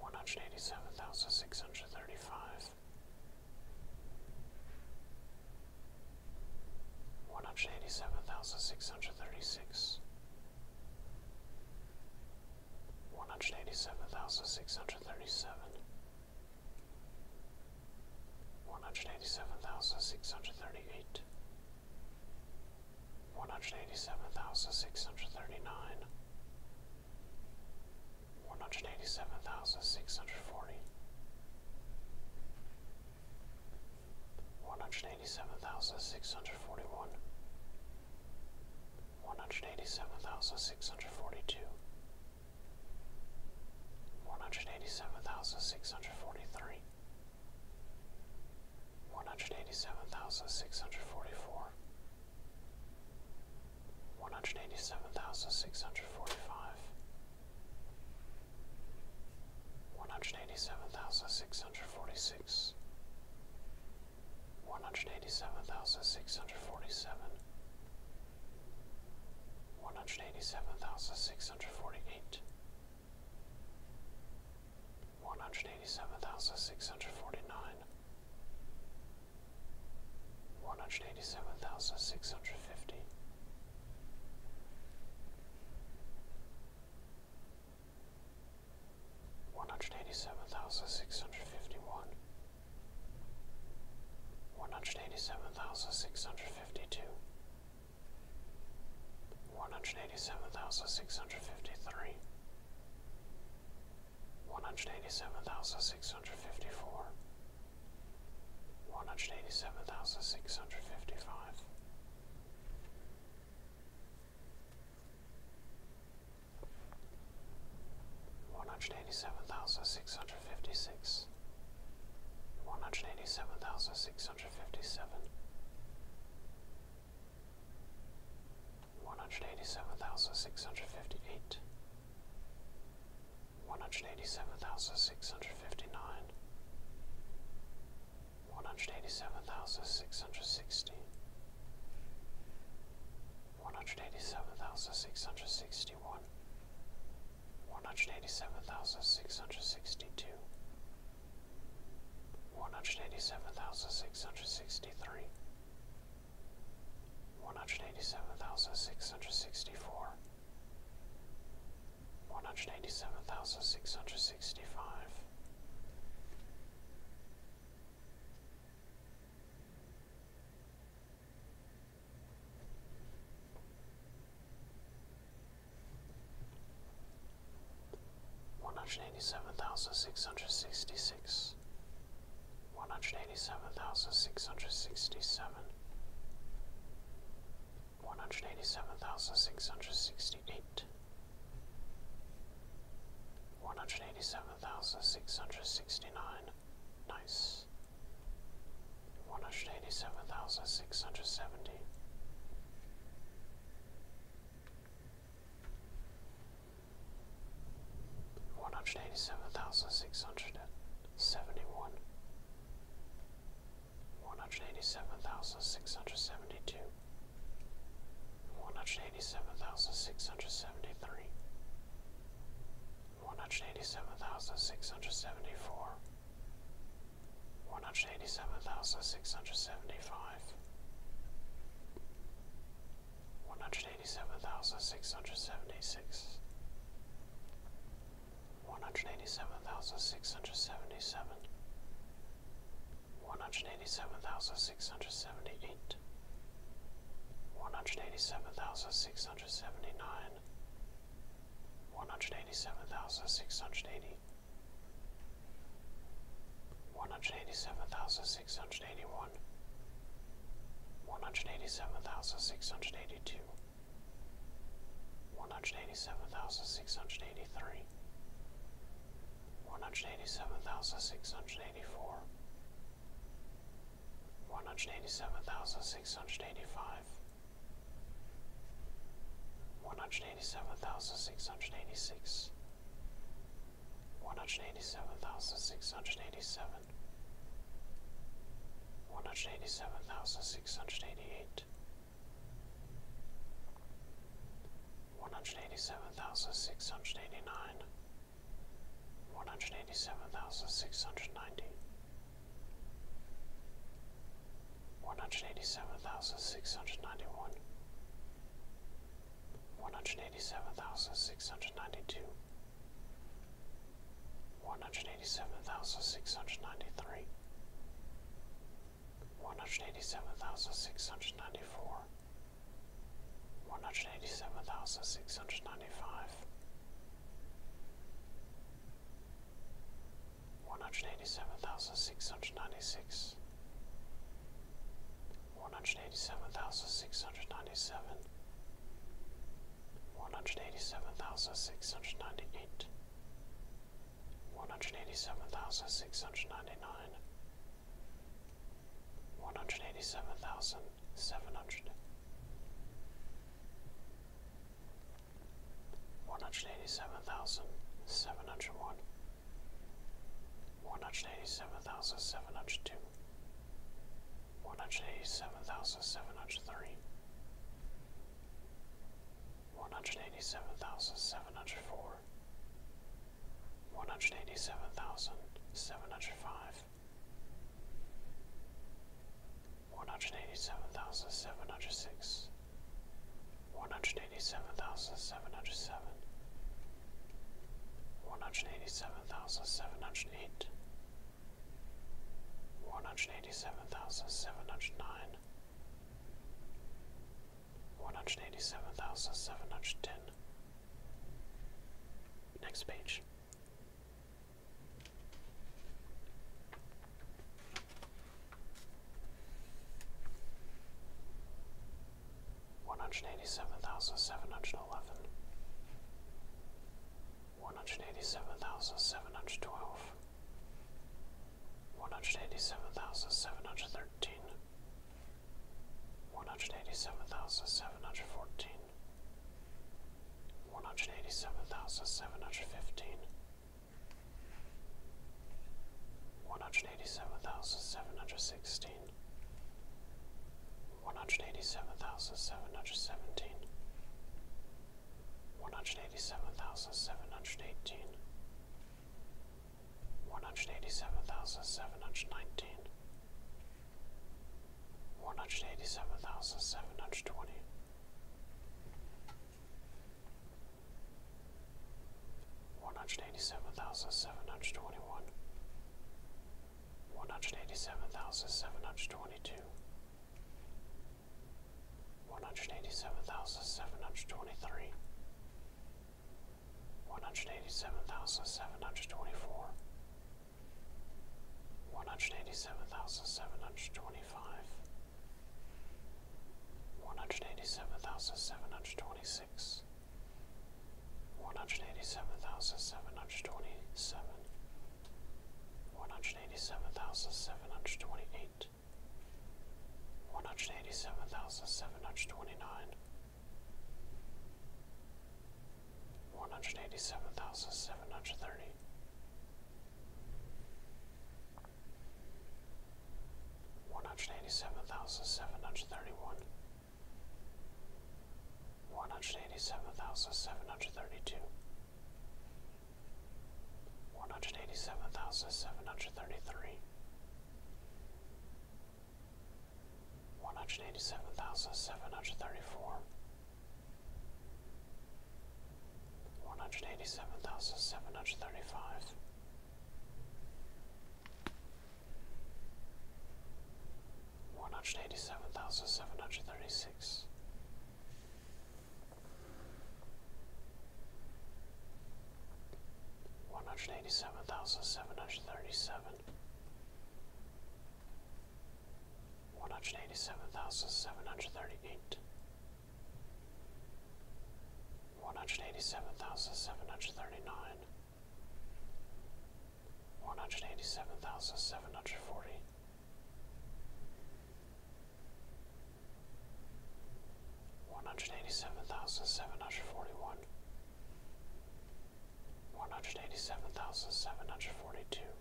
one hundred eighty seven thousand six hundred thirty five, one hundred eighty seven thousand six hundred thirty six, one hundred eighty seven thousand six hundred thirty seven. One hundred eighty seven thousand six hundred thirty eight, one hundred eighty seven thousand six hundred thirty nine, one hundred One hundred eighty-seven thousand six hundred forty. One hundred eighty-seven thousand six hundred forty-one. six hundred forty one, one hundred eighty seven thousand six hundred forty two. One hundred eighty seven thousand six hundred forty three, one hundred eighty seven thousand six hundred forty four, one hundred eighty seven thousand six hundred forty five, one hundred eighty seven thousand six hundred forty six, one hundred eighty seven thousand six hundred forty seven. One hundred eighty seven thousand six hundred forty eight, one hundred eighty seven thousand six hundred forty nine, one hundred eighty seven thousand six hundred fifty, one hundred eighty seven thousand six hundred fifty one, one hundred eighty seven thousand six hundred fifty two one hundred eighty seven thousand six hundred fifty three, one hundred eighty seven thousand six hundred fifty four, one hundred eighty seven thousand six hundred fifty five. One hundred eighty seven thousand six hundred fifty six, one hundred eighty seven thousand six hundred fifty seven, one hundred eighty seven thousand six hundred fifty eight, one hundred eighty seven thousand six hundred fifty nine, one hundred eighty seven One hundred eighty-seven thousand six hundred sixty-one. sixty one, one hundred eighty seven thousand six hundred sixty two one hundred eighty seven thousand six hundred sixty three, one hundred eighty seven thousand six hundred sixty four, one hundred eighty seven thousand six hundred sixty five one hundred eighty seven thousand six hundred sixty six, one hundred eighty seven thousand six hundred sixty seven, one hundred eighty seven thousand six hundred sixty eight, one hundred eighty seven thousand six hundred sixty nine, nice. One hundred eighty seven thousand six hundred seventy, one hundred eighty seven thousand six hundred seventy one, one hundred eighty seven thousand six hundred seventy two, one hundred eighty seven thousand six hundred seventy three, one hundred eighty seven thousand six hundred seventy four, one hundred eighty seven thousand six hundred seventy five one hundred eighty seven thousand six hundred seventy six, one hundred eighty seven thousand six hundred seventy seven, one hundred eighty seven thousand six hundred seventy eight, one hundred eighty seven thousand six hundred seventy nine, one hundred eighty seven thousand six hundred eighty one hundred eighty seven thousand six hundred eighty one, one hundred eighty seven thousand six hundred eighty two, one hundred eighty seven thousand six hundred eighty three, one hundred eighty seven thousand six hundred eighty four, one hundred eighty seven thousand six hundred eighty five. One hundred eighty seven thousand six hundred eighty six, one hundred eighty seven thousand six hundred eighty seven, one hundred eighty seven thousand six hundred eighty eight, one hundred eighty seven thousand six hundred eighty nine, one hundred eighty seven thousand six hundred ninety. One hundred eighty seven thousand six hundred ninety one, one hundred eighty seven thousand six hundred ninety two, one hundred eighty seven thousand six hundred ninety three, one hundred eighty seven thousand six hundred ninety four, one hundred eighty seven thousand six hundred ninety five. 187,696 one hundred eighty seven thousand six hundred ninety seven, one hundred eighty seven thousand six hundred ninety eight, one hundred eighty seven thousand six hundred ninety nine, one hundred eighty seven thousand seven hundred. 187701 one hundred eighty seven thousand seven hundred two, one hundred eighty seven thousand seven hundred three, one hundred eighty seven thousand seven hundred four, one hundred eighty seven thousand seven hundred five, one hundred eighty seven thousand seven hundred six one hundred eighty seven thousand seven hundred seven, one hundred eighty seven thousand seven hundred eight, one hundred eighty seven thousand seven hundred nine, one hundred eighty seven thousand seven hundred ten. Next page one hundred eighty seven thousand seven hundred eleven, one hundred eighty seven thousand seven hundred twelve, one hundred eighty seven thousand seven hundred thirteen, one hundred eighty seven thousand seven hundred fourteen, one hundred eighty seven thousand seven hundred fifteen. One hundred eighty seven thousand seven hundred sixteen, one hundred eighty seven thousand seven hundred seventeen, one hundred eighty seven thousand seven hundred eighteen, one hundred eighty seven thousand seven hundred nineteen, one hundred eighty seven thousand seven hundred twenty one hundred eighty seven thousand seven hundred twenty one, one hundred eighty seven thousand seven hundred twenty two, one hundred eighty seven thousand seven hundred twenty three, one hundred eighty seven thousand seven hundred twenty four, one hundred eighty seven thousand seven hundred twenty five. One hundred eighty seven thousand seven hundred twenty six, one hundred eighty seven thousand seven hundred twenty seven, one hundred eighty seven thousand seven hundred twenty eight, one hundred eighty seven thousand seven hundred twenty nine, one hundred eighty seven thousand seven hundred thirty. One hundred eighty seven thousand seven hundred thirty one, one hundred eighty seven thousand seven hundred thirty two, one hundred eighty seven thousand seven hundred thirty three, one hundred eighty seven thousand seven hundred thirty four, one hundred eighty seven thousand seven hundred thirty five one hundred eighty seven thousand seven hundred thirty six. One hundred eighty seven thousand seven hundred thirty seven, one hundred eighty seven thousand seven hundred thirty eight, one hundred eighty seven thousand seven hundred thirty nine, one hundred eighty seven thousand seven hundred forty. One hundred eighty seven thousand seven hundred forty one, one hundred eighty seven thousand seven hundred forty two,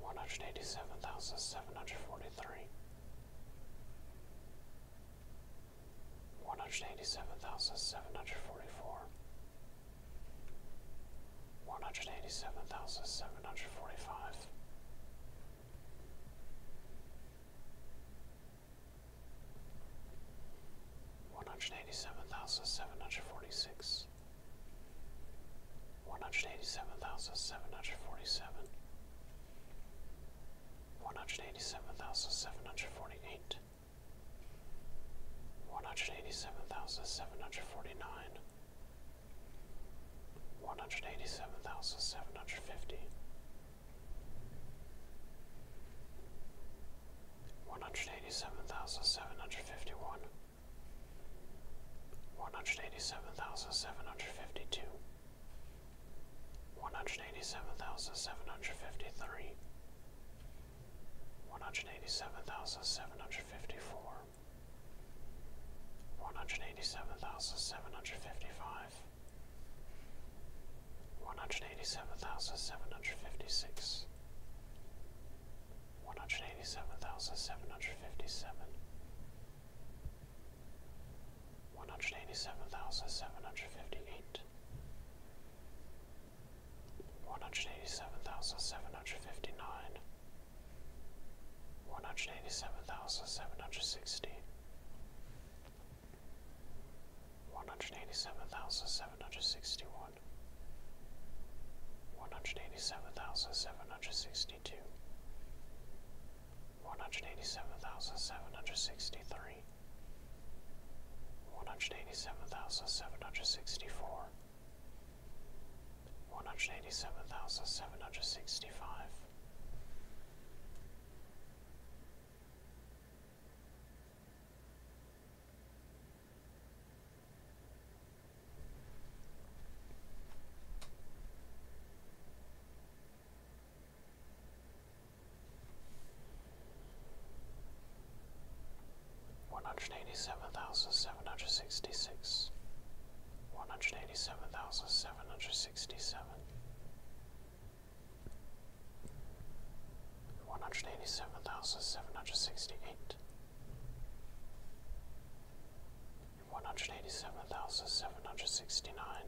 one hundred eighty seven thousand seven hundred forty three, one hundred eighty seven thousand seven hundred forty four, one hundred eighty seven thousand seven hundred forty five, one hundred eighty seven thousand seven hundred forty six, one hundred eighty seven thousand seven hundred forty seven one hundred eighty seven thousand seven hundred forty eight, one hundred eighty seven thousand seven hundred forty nine, one hundred eighty seven One hundred eighty-seven thousand seven hundred fifty. One hundred eighty-seven thousand seven hundred fifty-one. fifty one. One hundred eighty seven thousand seven hundred fifty two, one hundred eighty seven thousand seven hundred fifty three, one hundred eighty seven thousand seven hundred fifty four, one hundred eighty seven thousand seven hundred fifty five, one hundred eighty seven thousand seven hundred fifty six. One hundred eighty seven thousand seven hundred fifty seven, one hundred eighty seven thousand seven hundred fifty eight, one hundred eighty seven thousand seven hundred fifty nine, one hundred eighty seven thousand seven hundred sixty, one hundred eighty seven thousand seven hundred sixty one, one hundred eighty seven thousand seven hundred sixty two. One hundred eighty seven thousand seven hundred sixty three, one hundred eighty seven thousand seven hundred sixty four, one hundred eighty seven thousand seven hundred sixty five one hundred eighty seven thousand seven hundred sixty six, one hundred eighty seven thousand seven hundred sixty seven, one hundred eighty seven thousand seven hundred sixty eight. One hundred eighty seven thousand seven hundred sixty nine.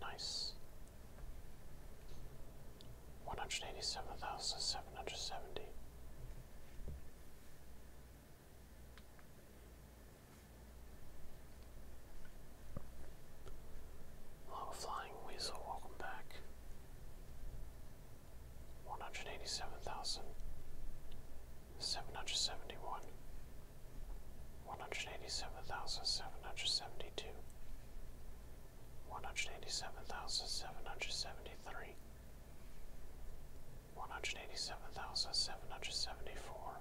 Nice one hundred eighty seven thousand seven hundred seventy. Low Flying Weasel, welcome back. One hundred eighty seven thousand seven hundred seventy one. One hundred eighty seven thousand seven hundred seventy two one hundred eighty seven thousand seven hundred seventy three, one hundred eighty seven thousand seven hundred seventy four,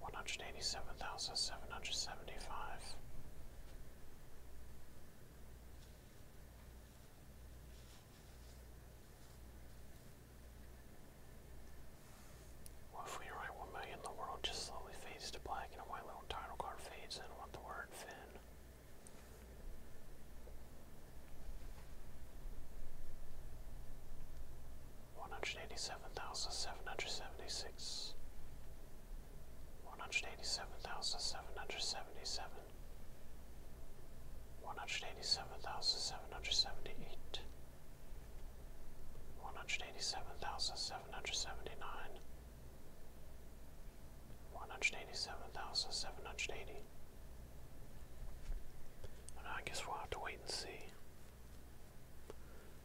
one hundred eighty seven thousand seven hundred seventy five. Well, if we write one million, the world just slowly fades to black and a white little title card fades in with the word Finn. One hundred eighty seven thousand seven hundred seventy six. One hundred eighty seven thousand seven hundred seventy seven. One hundred eighty seven thousand seven hundred seventy eight one hundred eighty seven thousand seven hundred seventy nine, one hundred eighty seven thousand seven hundred eighty. I guess we'll have to wait and see.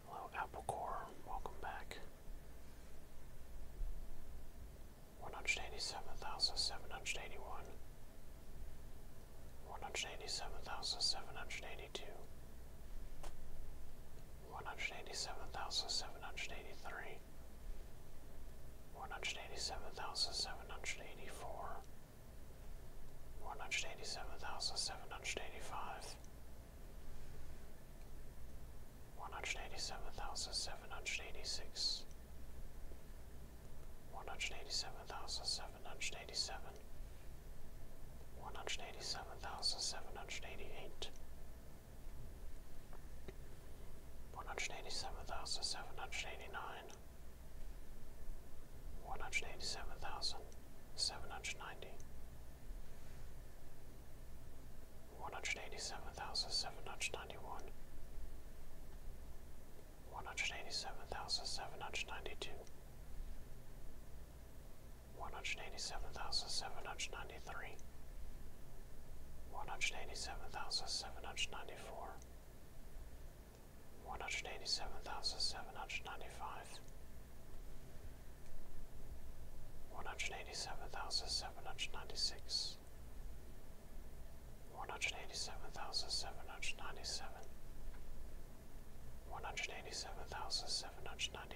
Hello, Apple Core, welcome back. One hundred eighty seven thousand seven hundred eighty one. One hundred eighty seven thousand seven hundred eighty two one hundred eighty seven thousand seven hundred eighty three, one hundred eighty seven thousand seven hundred eighty four, one hundred eighty seven thousand seven hundred eighty five, one hundred eighty seven thousand seven hundred eighty six, one hundred eighty seven thousand seven hundred eighty seven. 187786 one hundred eighty seven thousand seven hundred eighty eight, one hundred eighty seven thousand seven hundred eighty nine, one hundred eighty seven thousand seven hundred ninety, one hundred eighty seven thousand seven hundred ninety one, one hundred eighty seven thousand seven hundred ninety two one hundred eighty seven thousand seven hundred ninety three, one hundred eighty seven thousand seven hundred ninety four, one hundred eighty seven thousand seven hundred ninety five, one hundred eighty seven thousand seven hundred ninety six, one hundred eighty seven thousand seven hundred ninety seven. 187,798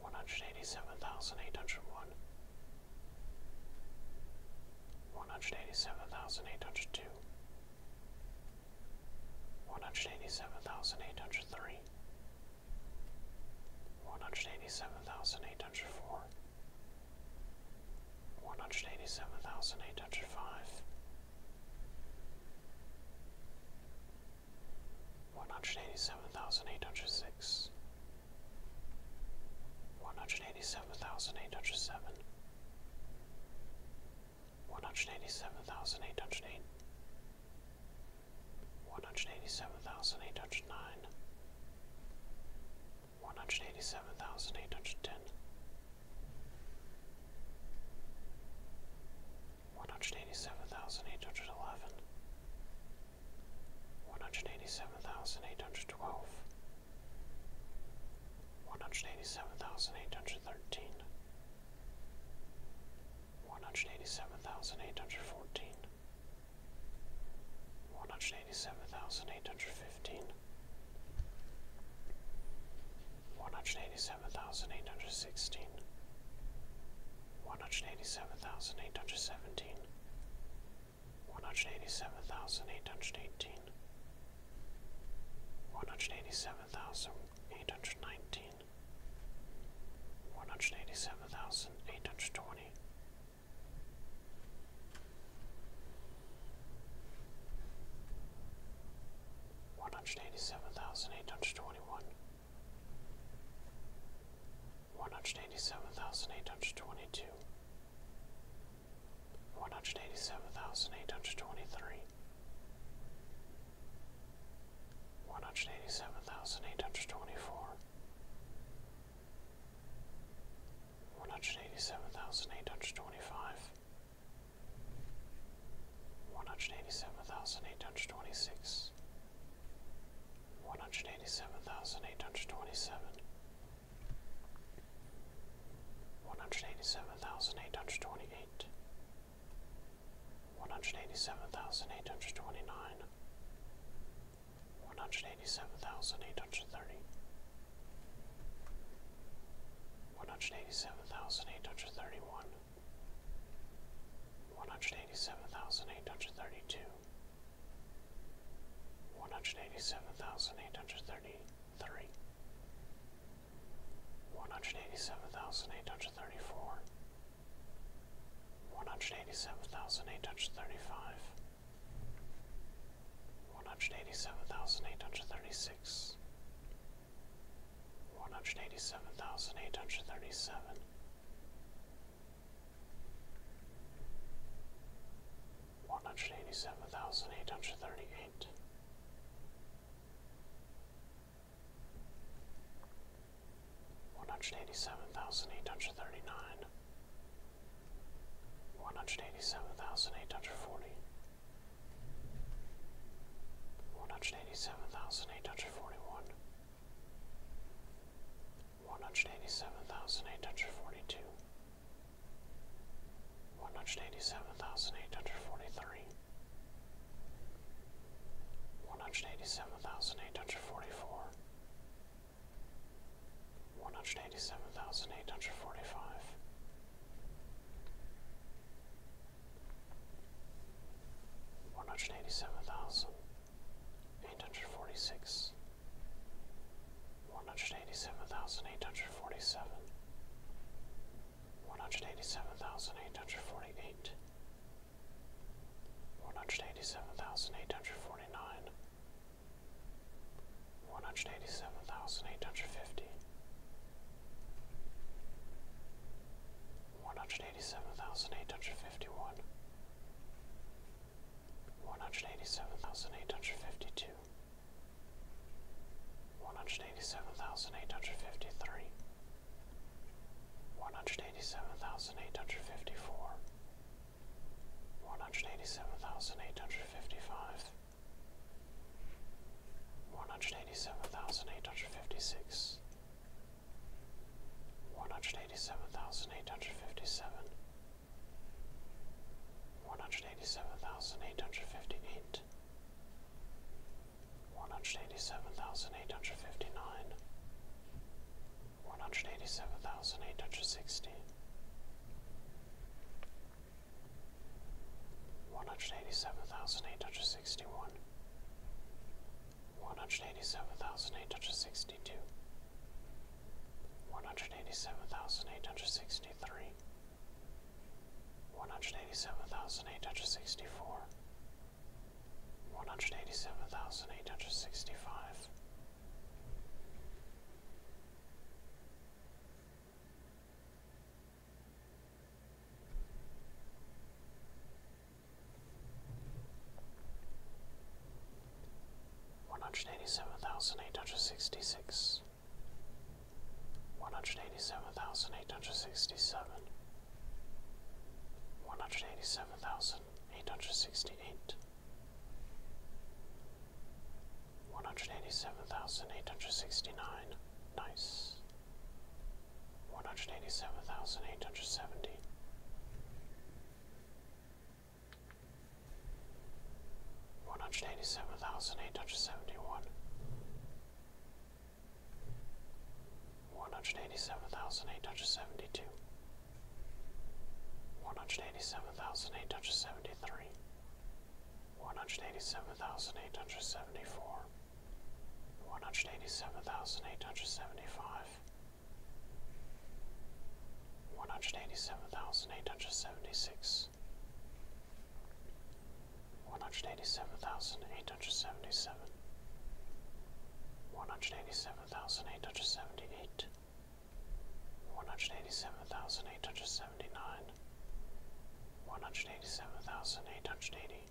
one hundred eighty seven thousand eight hundred one, one hundred eighty seven thousand eight hundred two, one hundred eighty seven thousand eight hundred three, one hundred eighty seven thousand eight hundred four. One hundred eighty seven thousand eight hundred five, one hundred eighty seven thousand eight hundred six, one hundred eighty seven thousand eight hundred seven, one hundred eighty seven thousand eight hundred eight, one hundred eighty seven thousand eight hundred nine, one hundred eighty seven thousand eight hundred ten. 187810 one hundred eighty seven thousand eight hundred eleven, one hundred eighty seven thousand eight hundred twelve, one hundred eighty seven thousand eight hundred thirteen, one hundred eighty seven thousand eight hundred fourteen. 187815 one hundred eighty seven thousand eight hundred sixteen, one hundred eighty seven thousand eight hundred seventeen, one hundred eighty seven thousand eight hundred eighteen, one hundred eighty seven thousand eight hundred nineteen, one hundred eighty seven thousand eight hundred twenty one hundred eighty seven thousand eight hundred twenty one, one hundred eighty seven thousand eight hundred twenty two, one hundred eighty seven thousand eight hundred twenty three, one hundred eighty seven thousand eight hundred twenty four. One hundred eighty seven thousand eight hundred twenty five, one hundred eighty seven thousand eight hundred twenty six, one hundred eighty seven thousand eight hundred twenty seven, one hundred eighty seven thousand eight hundred twenty eight, one hundred eighty seven thousand eight hundred twenty nine, one hundred eighty seven thousand eight hundred thirty. One hundred eighty seven thousand eight hundred thirty one, one hundred eighty seven thousand eight hundred thirty two, one hundred eighty seven thousand eight hundred thirty three, one hundred eighty seven thousand eight hundred thirty four, one hundred eighty seven thousand eight hundred thirty five. 187,836 one hundred eighty seven thousand eight hundred thirty seven. One hundred eighty seven thousand eight hundred thirty eight, one hundred eighty seven thousand eight hundred thirty nine, one hundred eighty seven thousand eight hundred forty, one hundred eighty seven thousand eight hundred forty one, one hundred eighty seven thousand eight hundred forty two, one hundred eighty seven thousand eight hundred forty three, one hundred eighty seven thousand eight hundred forty four. One hundred eighty seven thousand eight hundred forty five, one hundred eighty seven thousand eight hundred forty six, one hundred eighty seven thousand eight hundred forty seven, one hundred eighty seven thousand eight hundred forty eight, one hundred eighty seven thousand eight hundred forty nine, one hundred eighty seven thousand eight hundred fifty one hundred eighty seven thousand eight hundred fifty one, one hundred eighty seven thousand eight hundred fifty two, one hundred eighty seven thousand eight hundred fifty three, one hundred eighty seven thousand eight hundred fifty four. One hundred eighty seven thousand eight hundred fifty five, one hundred eighty seven thousand eight hundred fifty six, one hundred eighty seven thousand eight hundred fifty seven, one hundred eighty seven thousand eight hundred fifty eight, one hundred eighty seven thousand eight hundred fifty nine, one hundred eighty seven thousand eight hundred sixty. 187861 one. One hundred eighty seven thousand eight hundred sixty two, one hundred eighty seven thousand eight hundred sixty three, one hundred eighty seven thousand eight hundred sixty four, one hundred eighty seven thousand eight hundred sixty five one hundred eighty seven thousand eight hundred sixty six, one hundred eighty seven thousand eight hundred sixty seven, one hundred eighty seven thousand eight hundred sixty eight. One hundred eighty seven thousand eight hundred sixty nine. Nice one hundred eighty seven thousand eight hundred seventy. One hundred eighty seven thousand eight hundred seventy one, one hundred eighty seven thousand eight hundred seventy two, one hundred eighty seven thousand eight hundred seventy three, one hundred eighty seven thousand eight hundred seventy four one hundred eighty seven thousand eight hundred seventy five, one hundred eighty seven thousand eight hundred seventy six, one hundred eighty seven thousand eight hundred seventy seven, one hundred eighty seven thousand eight hundred seventy eight, one hundred eighty seven thousand eight hundred seventy nine. One hundred eighty seven thousand eight hundred eighty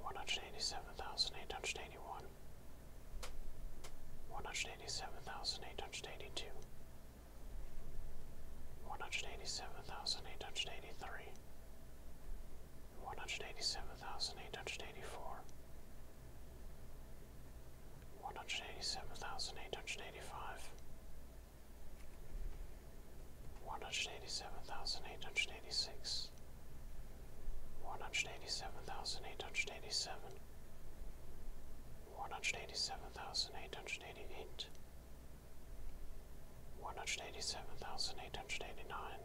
one hundred eighty seven thousand eight hundred eighty one, one hundred eighty seven thousand eight hundred eighty two, one hundred eighty seven thousand eight hundred eighty three, one hundred eighty seven thousand eight hundred eighty four. One hundred eighty seven thousand eight hundred eighty five, one hundred eighty seven thousand eight hundred eighty six, one hundred eighty seven thousand eight hundred eighty seven, one hundred eighty seven thousand eight hundred eighty eight, one hundred eighty seven thousand eight hundred eighty nine,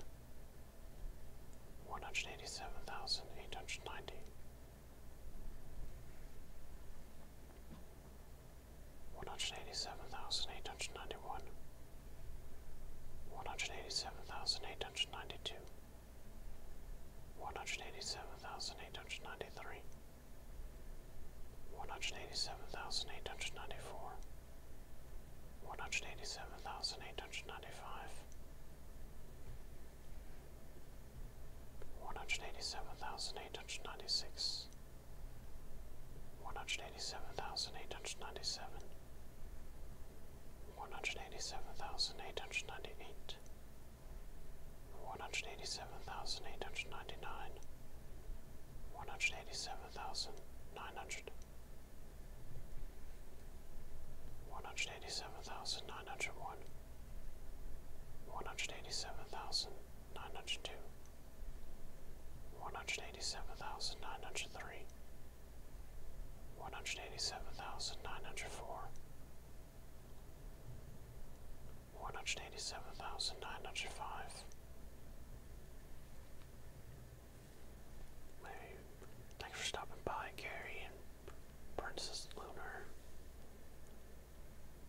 one hundred eighty seven thousand eight hundred ninety one hundred eighty seven thousand eight hundred ninety one, one hundred eighty seven thousand eight hundred ninety two, one hundred eighty seven thousand eight hundred ninety three, one hundred eighty seven thousand eight hundred ninety four, one hundred eighty seven thousand eight hundred ninety five. One hundred eighty seven thousand eight hundred ninety six, one hundred eighty seven thousand eight hundred ninety seven, one hundred eighty seven thousand eight hundred ninety eight, one hundred eighty seven thousand eight hundred ninety nine, one hundred eighty seven thousand nine hundred, one hundred eighty seven thousand nine hundred one, one hundred eighty seven thousand nine hundred two one hundred eighty seven thousand nine hundred three, one hundred eighty seven thousand nine hundred four, one hundred eighty seven thousand nine hundred five. Maybe thanks for stopping by, Gary and Princess Lunar.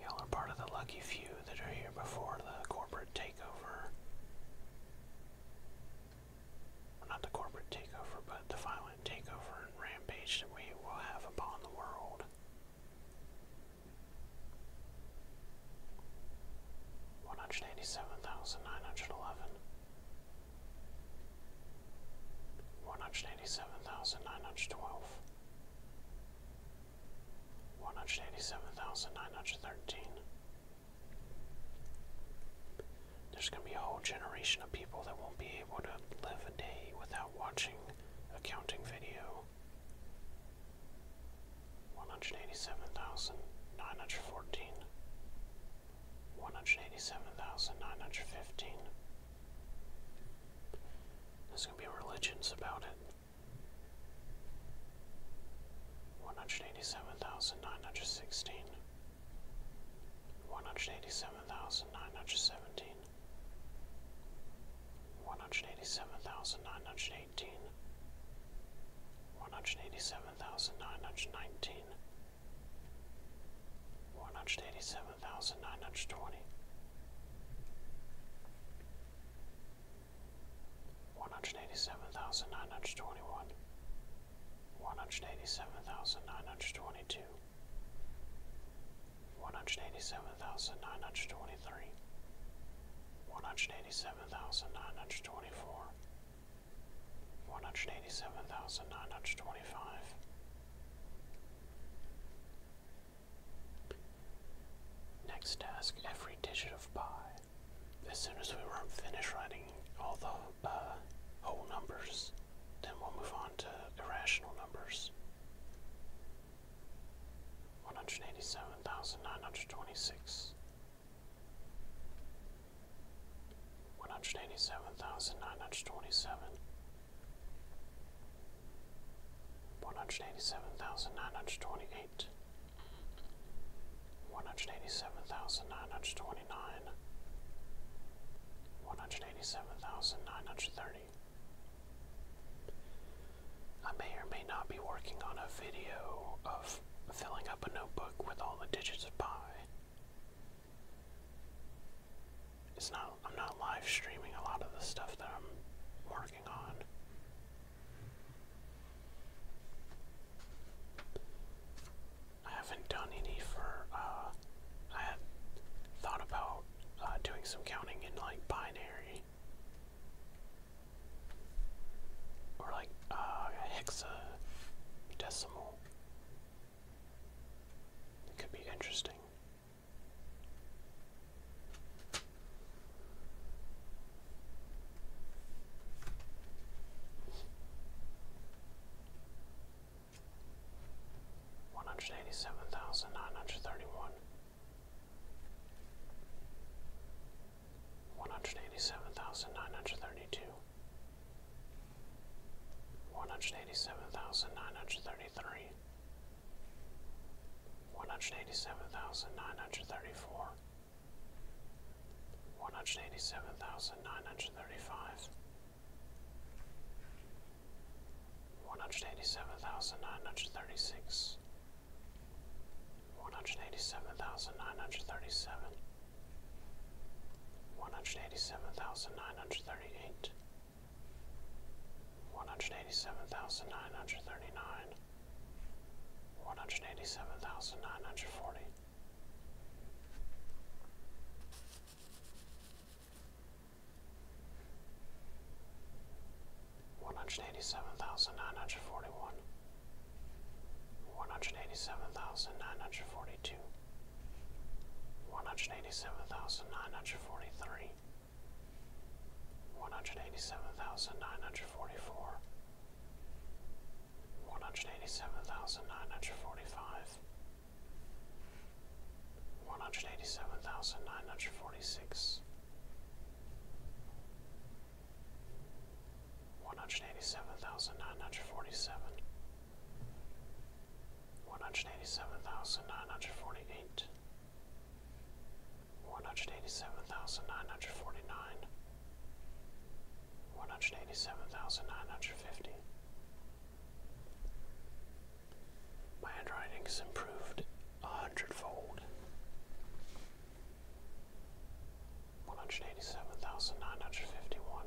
Y'all are part of the lucky few that are here before the corporate takeover. not the corporate takeover, but the violent takeover and rampage that we will have upon the world. One hundred eighty seven thousand nine hundred eleven, one hundred eighty-seven thousand nine hundred twelve. One hundred eighty-seven thousand nine hundred thirteen. There's going to be a whole generation of people that won't be able to live a day without watching a counting video. 187,914 one hundred eighty seven thousand nine hundred fifteen. There's gonna be religions about it. One hundred eighty seven thousand nine hundred sixteen. One hundred eighty seven thousand nine hundred seventeen. One hundred eighty seven thousand nine hundred eighteen. One hundred eighty seven thousand nine hundred nineteen one hundred eighty seven thousand nine hundred twenty, one hundred eighty seven thousand nine hundred twenty one, one hundred eighty seven thousand nine hundred twenty two, one hundred eighty seven thousand nine hundred twenty three, one hundred eighty seven thousand nine hundred twenty four one hundred eighty seven thousand nine hundred twenty five, next task every digit of pi. As soon as we were finished writing all the uh, whole numbers, then we'll move on to irrational numbers. 187,926 one hundred eighty seven thousand nine hundred twenty seven, one hundred eighty seven thousand nine hundred twenty eight, one hundred eighty seven thousand nine hundred twenty nine, one hundred eighty seven thousand nine hundred thirty. I may or may not be working on a video of filling up a notebook with all the digits of pi. It's not I'm not live streaming a lot of the stuff that I'm working on. I haven't done any for uh, I had thought about uh, doing some counting in like binary or like uh hexadecimal it could be interesting. One hundred eighty seven thousand nine hundred thirty one, one hundred eighty seven thousand nine hundred thirty two one hundred eighty seven thousand nine hundred thirty three, one hundred eighty seven thousand nine hundred thirty four, one hundred eighty seven thousand nine hundred thirty five, one hundred eighty seven thousand nine hundred thirty six. One hundred eighty seven thousand nine hundred thirty seven, one hundred eighty seven thousand nine hundred thirty-eight, one hundred eighty-seven thousand nine hundred thirty-nine, one hundred eighty-seven thousand nine hundred forty. One hundred eighty seven thousand nine hundred forty one, one hundred eighty seven thousand nine hundred forty two, one hundred eighty seven thousand nine hundred forty three, one hundred eighty seven thousand nine hundred forty four, one hundred eighty seven thousand nine hundred forty five, one hundred eighty seven thousand nine hundred forty six. 187947 one hundred eighty seven thousand nine hundred forty eight, one hundred eighty seven thousand nine hundred forty nine, one hundred eighty seven thousand nine hundred fifty. My handwriting has improved a hundredfold. One hundred eighty seven thousand nine hundred fifty one,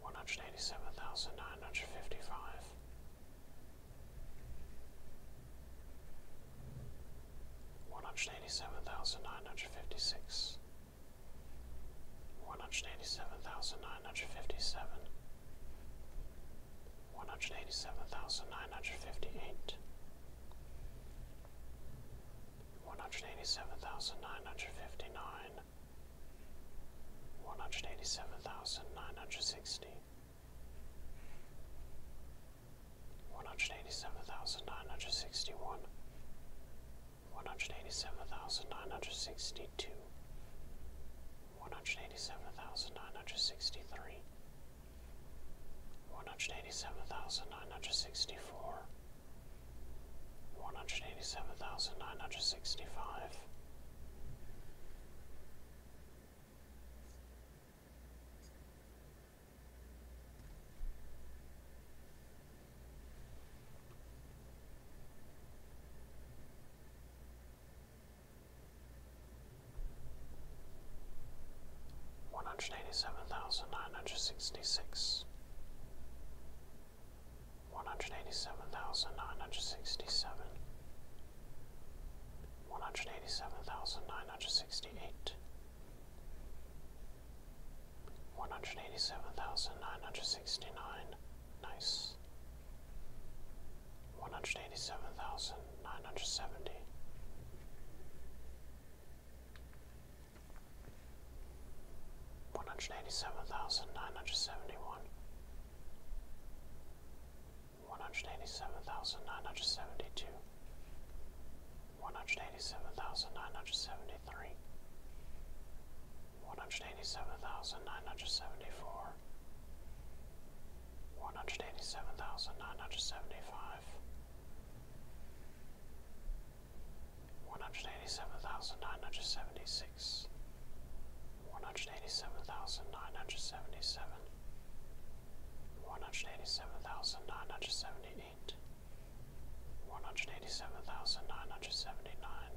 one hundred eighty seven thousand nine hundred fifty five, one hundred eighty seven thousand nine hundred fifty six, one hundred eighty seven thousand nine hundred fifty seven. One hundred eighty seven thousand nine hundred fifty eight, one hundred eighty seven thousand nine hundred fifty nine, one hundred eighty seven thousand nine hundred sixty, one hundred eighty seven thousand nine hundred sixty one, one hundred eighty seven thousand nine hundred sixty two, one hundred eighty seven thousand nine hundred sixty three. 187,963 one hundred eighty seven thousand nine hundred sixty four, one hundred eighty seven thousand nine hundred sixty five one hundred eighty seven thousand nine hundred sixty six, one hundred eighty seven thousand nine hundred sixty seven, one hundred eighty seven thousand nine hundred sixty eight, one hundred eighty seven thousand nine hundred sixty nine, nice. One hundred eighty seven thousand nine hundred seventy, one hundred eighty seven thousand nine hundred seventy one, one hundred eighty seven thousand nine hundred seventy two, one hundred eighty seven thousand nine hundred seventy three, one hundred eighty seven thousand nine hundred seventy four. One hundred eighty seven thousand nine hundred seventy five, one hundred eighty seven thousand nine hundred seventy six, one hundred eighty seven thousand nine hundred seventy seven, one hundred eighty seven thousand nine hundred seventy eight, one hundred eighty seven thousand nine hundred seventy nine,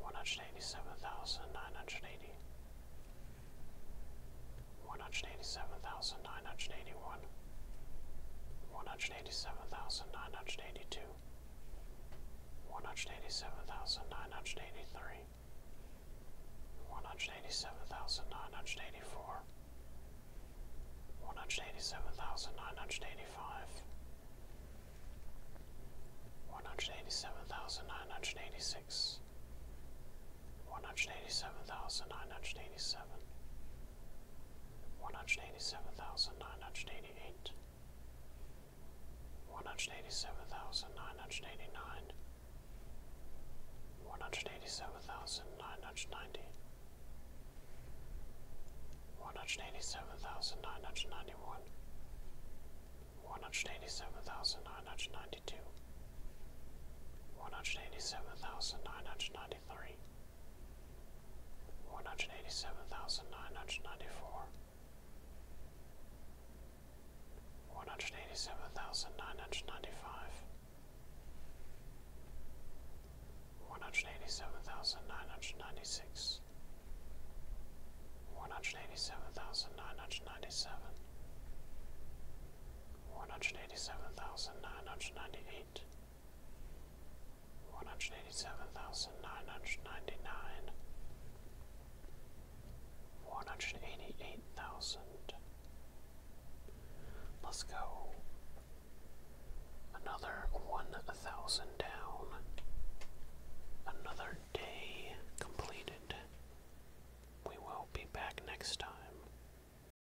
one hundred eighty seven thousand nine hundred eighty one hundred eighty seven thousand nine hundred eighty one, one hundred eighty seven thousand nine hundred eighty two, one hundred eighty seven thousand nine hundred eighty three, one hundred eighty seven thousand nine hundred eighty four, one hundred eighty seven thousand nine hundred eighty five. One hundred eighty seven thousand nine hundred eighty six, one hundred eighty seven thousand nine hundred eighty seven, one hundred eighty seven thousand nine hundred eighty eight, one hundred eighty seven thousand nine hundred eighty nine, one hundred eighty seven thousand nine hundred ninety, one hundred eighty seven thousand nine hundred ninety one. One hundred eighty seven thousand nine hundred ninety two, one hundred eighty seven thousand nine hundred ninety three. Missouri, one hundred eighty seven thousand nine hundred ninety four, one hundred eighty seven thousand nine hundred ninety five, one hundred eighty seven thousand nine hundred ninety six, one hundred eighty seven thousand nine hundred ninety seven. One hundred eighty seven thousand nine hundred ninety eight, one hundred eighty seven thousand nine hundred ninety nine, one hundred eighty eight thousand. Let's go. Another one thousand down. Another day completed. We will be back next time.